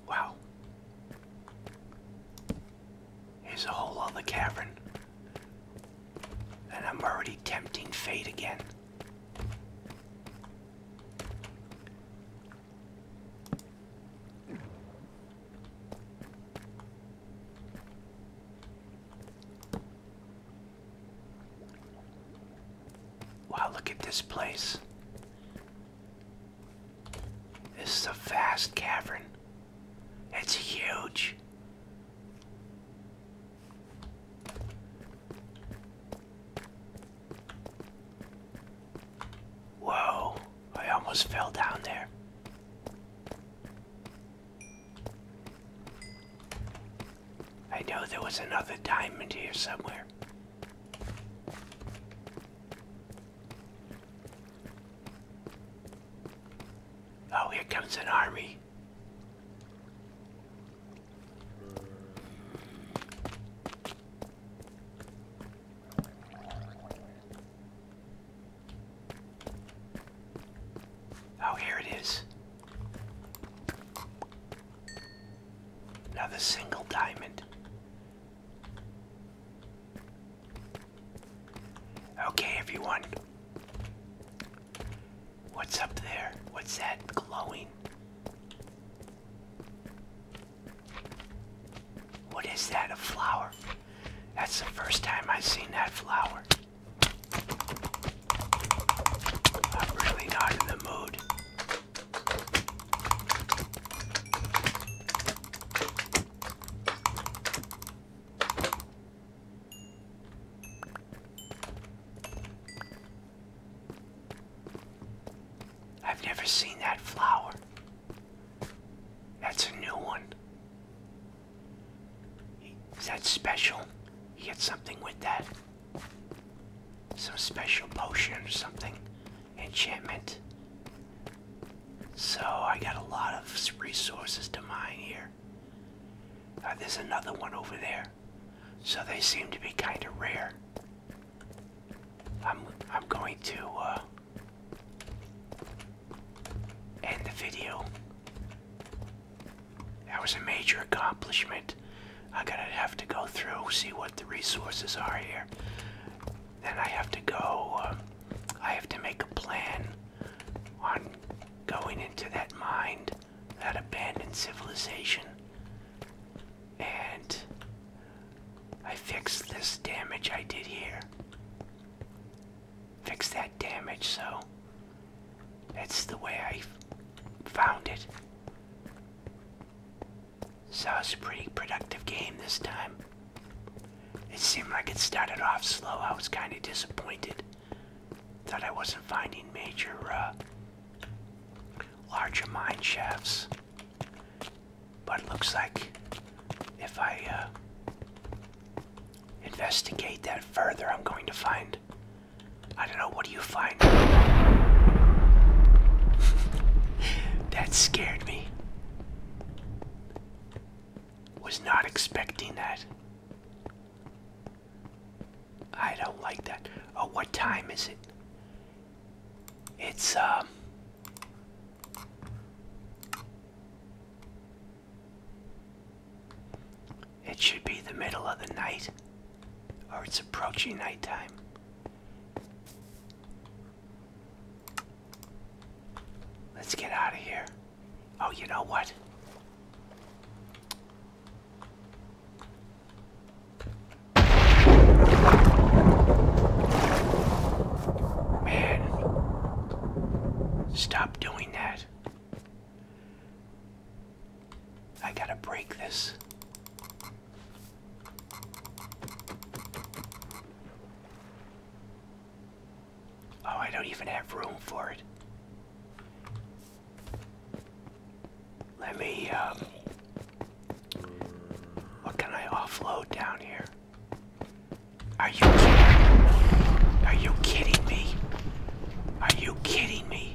Wow. Here's a whole other cavern. And I'm already tempting fate again. Wow, look at this place. This is a vast cavern. It's huge. Whoa, I almost fell down there. I know there was another diamond here somewhere. Oh, here comes an army. Oh, here it is. Another single diamond. Okay, everyone. What's up there? What's that glowing? What is that? A flower? That's the first time I've seen that flower. I'm really not in the mood. I've never seen that flower. That's a new one. Is that special? You got something with that. Some special potion or something. Enchantment. So I got a lot of resources to mine here. Uh, there's another one over there. So they seem to be kind of rare. I'm I'm going to uh, end the video. That was a major accomplishment. I am going to have to go through, see what the resources are here. Then I have to go. Uh, I have to make a plan on going into that mind, that abandoned civilization, and I fixed this damage I did here. Fix that damage, so that's the way I found it. So it's a pretty productive game this time. It seemed like it started off slow. I was kind of disappointed that I wasn't finding major, uh, larger mine shafts. But it looks like if I uh, investigate that further, I'm going to find. I don't know, what do you find? <laughs> that scared me. Was not expecting that. I don't like that. Oh, what time is it? It's, um, it should be the middle of the night, or it's approaching nighttime. Let's get out of here. Oh, you know what? Man, stop doing that. I gotta break this. Oh, I don't even have room for it. Let me, um, what can I offload down here? Are you kidding? me? Are you kidding me? Are you kidding me?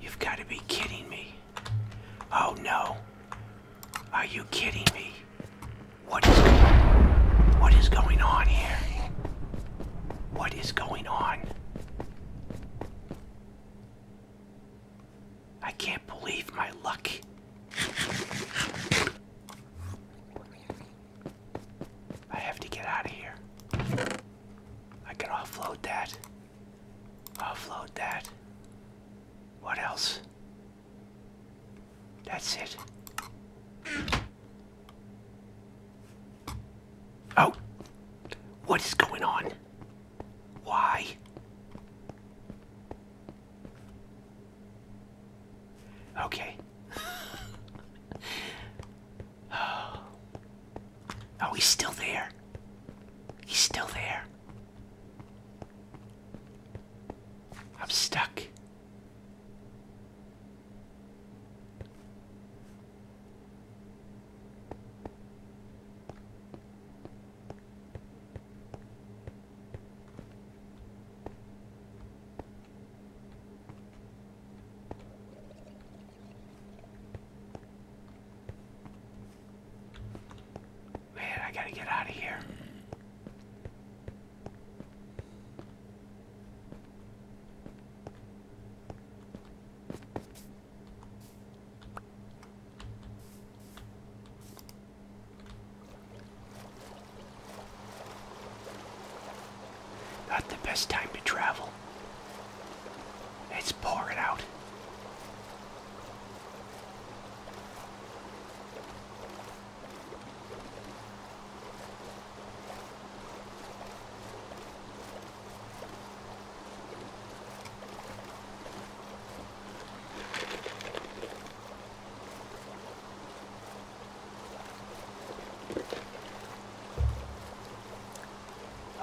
You've got to be kidding me. Oh no. Are you kidding me? What is What is going on here? What is going on? I can't believe my luck. I have to get out of here. I can offload that. Offload that. What else? That's it. Oh! What is going on? Why? Okay. oh. <sighs> oh, he's still there. He's still there. I'm stuck. Man, I gotta get out of here. Not the best time to travel. It's pouring out.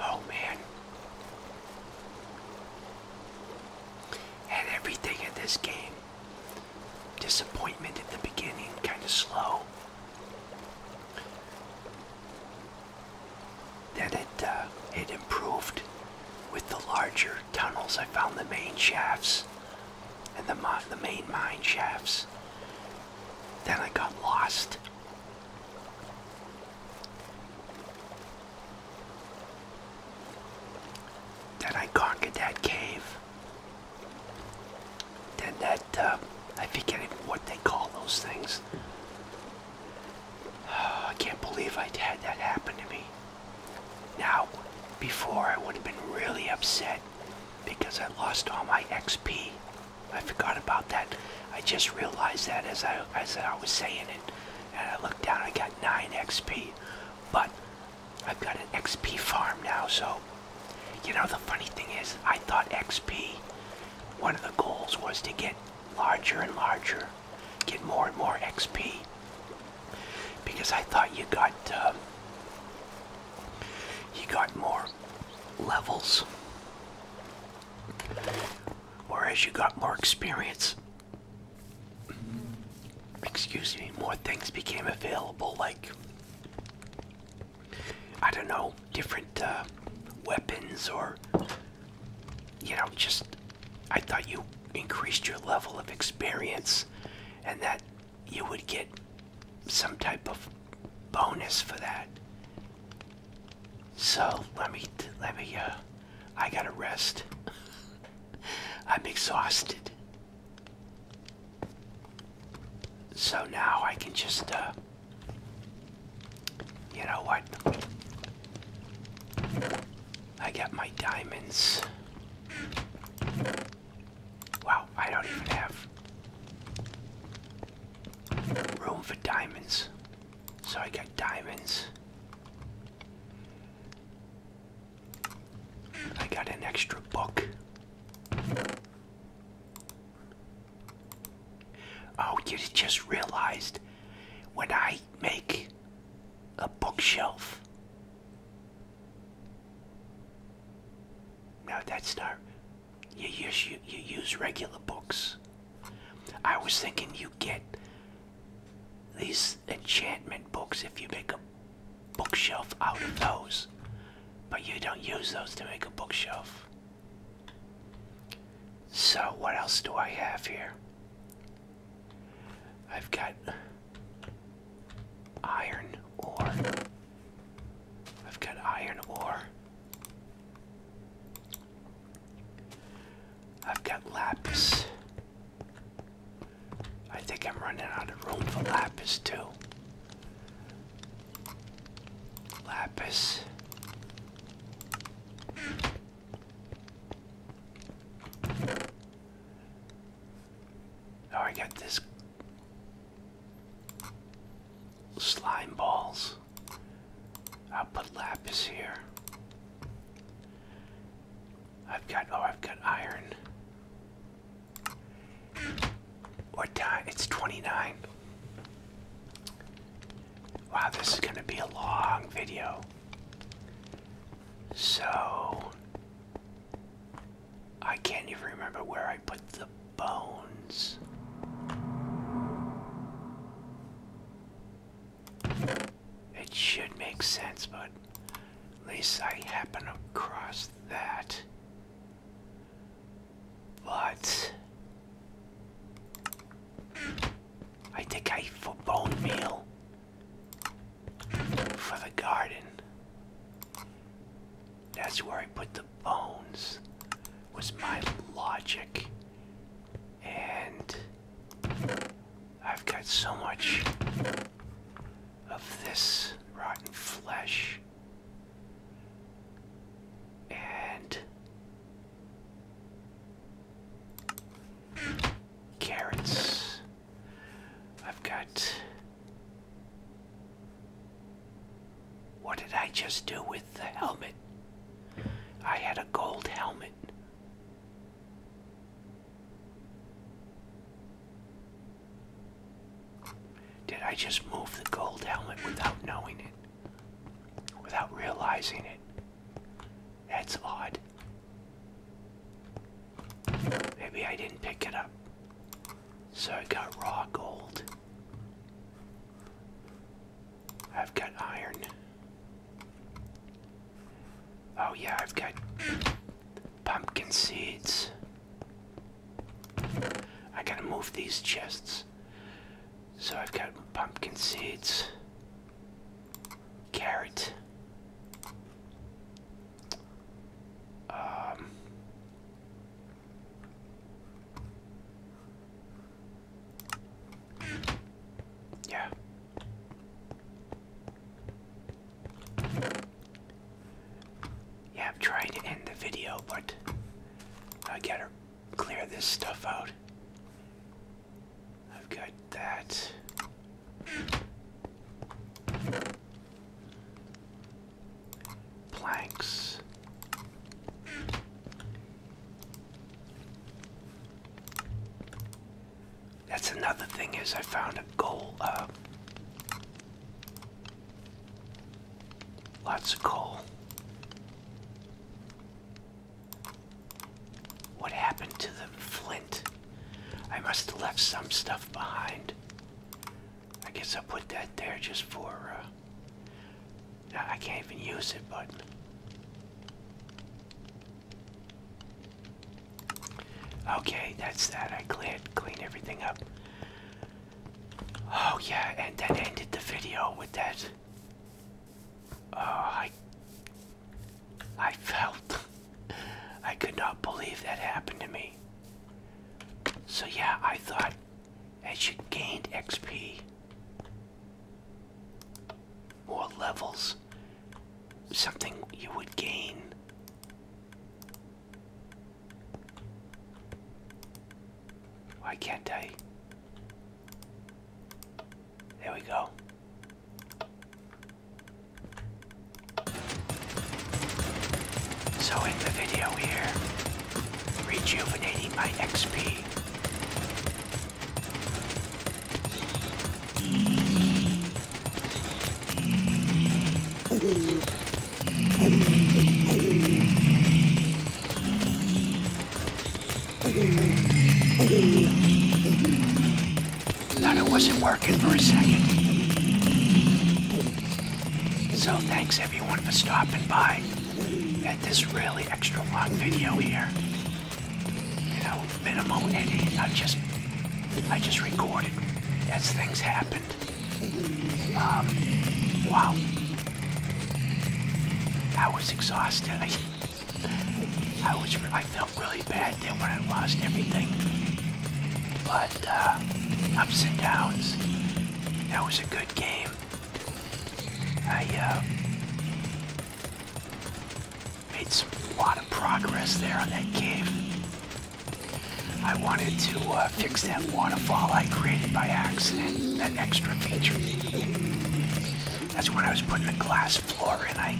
Oh man. And everything in this game. Disappointment at the beginning, kind of slow. Then it uh, it improved with the larger tunnels, I found the main shafts and the, the main mine shafts. Then I got lost. Then I conquered that cave. Then that, uh, I forget what they call those things. <sighs> I can't believe I had that happen to me. Now, before I would have been really upset because I lost all my XP. I forgot about that. I just realized that as I as I was saying it, and I looked down. I got nine XP, but I've got an XP farm now. So, you know, the funny thing is, I thought XP. One of the goals was to get larger and larger get more and more XP because I thought you got um, you got more levels, or as you got more experience. Excuse me, more things became available, like I don't know, different uh, weapons or you know, just I thought you increased your level of experience and that you would get some type of bonus for that. So let me, let me, uh, I gotta rest. <laughs> I'm exhausted. So now I can just, uh, you know what? I got my diamonds. Wow, I don't even have room for diamonds. So I got diamonds. I got an extra book. Oh, you just realized when I make a bookshelf, now that's not. You use you, you use regular books. I was thinking you get these enchantment books if you make a bookshelf out of those, but you don't use those to make a bookshelf. So what else do I have here? I've got iron ore. I've got iron ore. I've got lapis. I think I'm running out of room for lapis too. Lapis. Oh, I got this slime balls. I'll put lapis here. I've got oh, I've got iron. What time? It's 29. Wow, this is going to be a long video. So, I can't even remember where I put the bones. It should make sense, but at least I happen across that. But I think I for bone meal for the garden. That's where I put the bones, was my logic. And I've got so much of this rotten flesh. And carrots I've got. What did I just do with the helmet? I had a gold helmet. Did I just move the gold helmet without knowing it? Without realizing it? That's odd. Maybe I didn't pick it up. So I got raw gold. I've got iron. Oh, yeah, I've got pumpkin seeds. I gotta move these chests. So I've got pumpkin seeds. Carrot. Um, yeah. Yeah, trying to end the video, but I gotta clear this stuff out. I've got that. Planks. That's another thing is I found a goal uh lots of coal. What happened to the flint? I must have left some stuff behind. I guess I'll put that there just for, uh, I can't even use it, but okay, that's that. I cleared, clean everything up. Oh yeah, and that ended the video with that. Oh, I I felt. <laughs> I could not believe that happened to me. So, yeah, I thought as you gained XP, or levels, something you would gain. Why can't I? There we go. So in the video here, rejuvenating my XP. That it wasn't working for a second. So thanks everyone for stopping by at this really extra long video here. You know, minimal editing. I just, I just recorded as things happened. Um, wow. I was exhausted. I, <laughs> I was, I felt really bad then when I lost everything. But uh, ups and downs. That was a good game. I uh, made some, lot of progress there on that game. I wanted to uh, fix that waterfall I created by accident, that extra feature. That's when I was putting the glass floor in. I,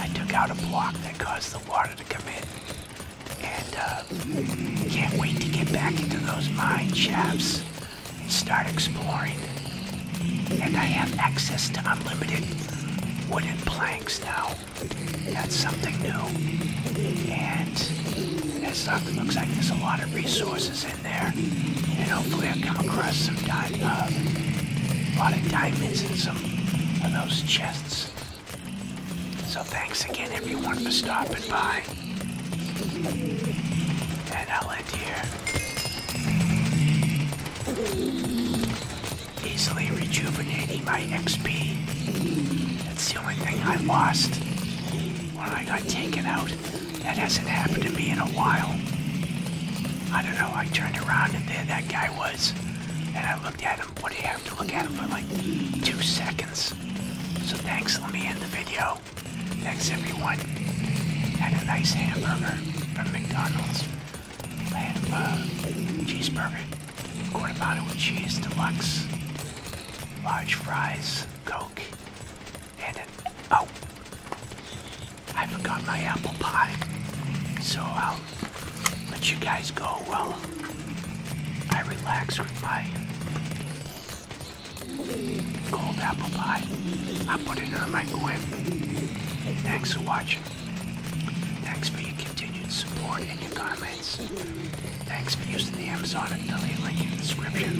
I took out a block that caused the water to come in. And uh, can't wait to get back into those mine shafts and start exploring. And I have access to unlimited wooden planks now. That's something new. And as something looks like there's a lot of resources in there. And hopefully I'll come across some diamond, uh, a lot of diamonds in some of those chests. So thanks again everyone for stopping by. And I'll end here. Easily rejuvenating my XP. That's the only thing I lost when I got taken out. That hasn't happened to me in a while. I don't know, I turned around and there that guy was. And I looked at him what do you have to look at for like two seconds? So thanks, let me end the video. Thanks everyone. Had a nice hamburger from McDonald's. I had a uh, cheeseburger, quarter pounder with cheese, deluxe, large fries, Coke, and an, oh, I forgot my apple pie. So I'll um, let you guys go well. I relax with my cold apple pie. I put it on my quip. Thanks for watching. Thanks for your continued support and your comments. Thanks for using the Amazon affiliate link in the description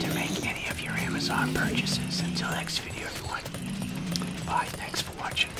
to make any of your Amazon purchases. Until next video, everyone. Bye. Thanks for watching.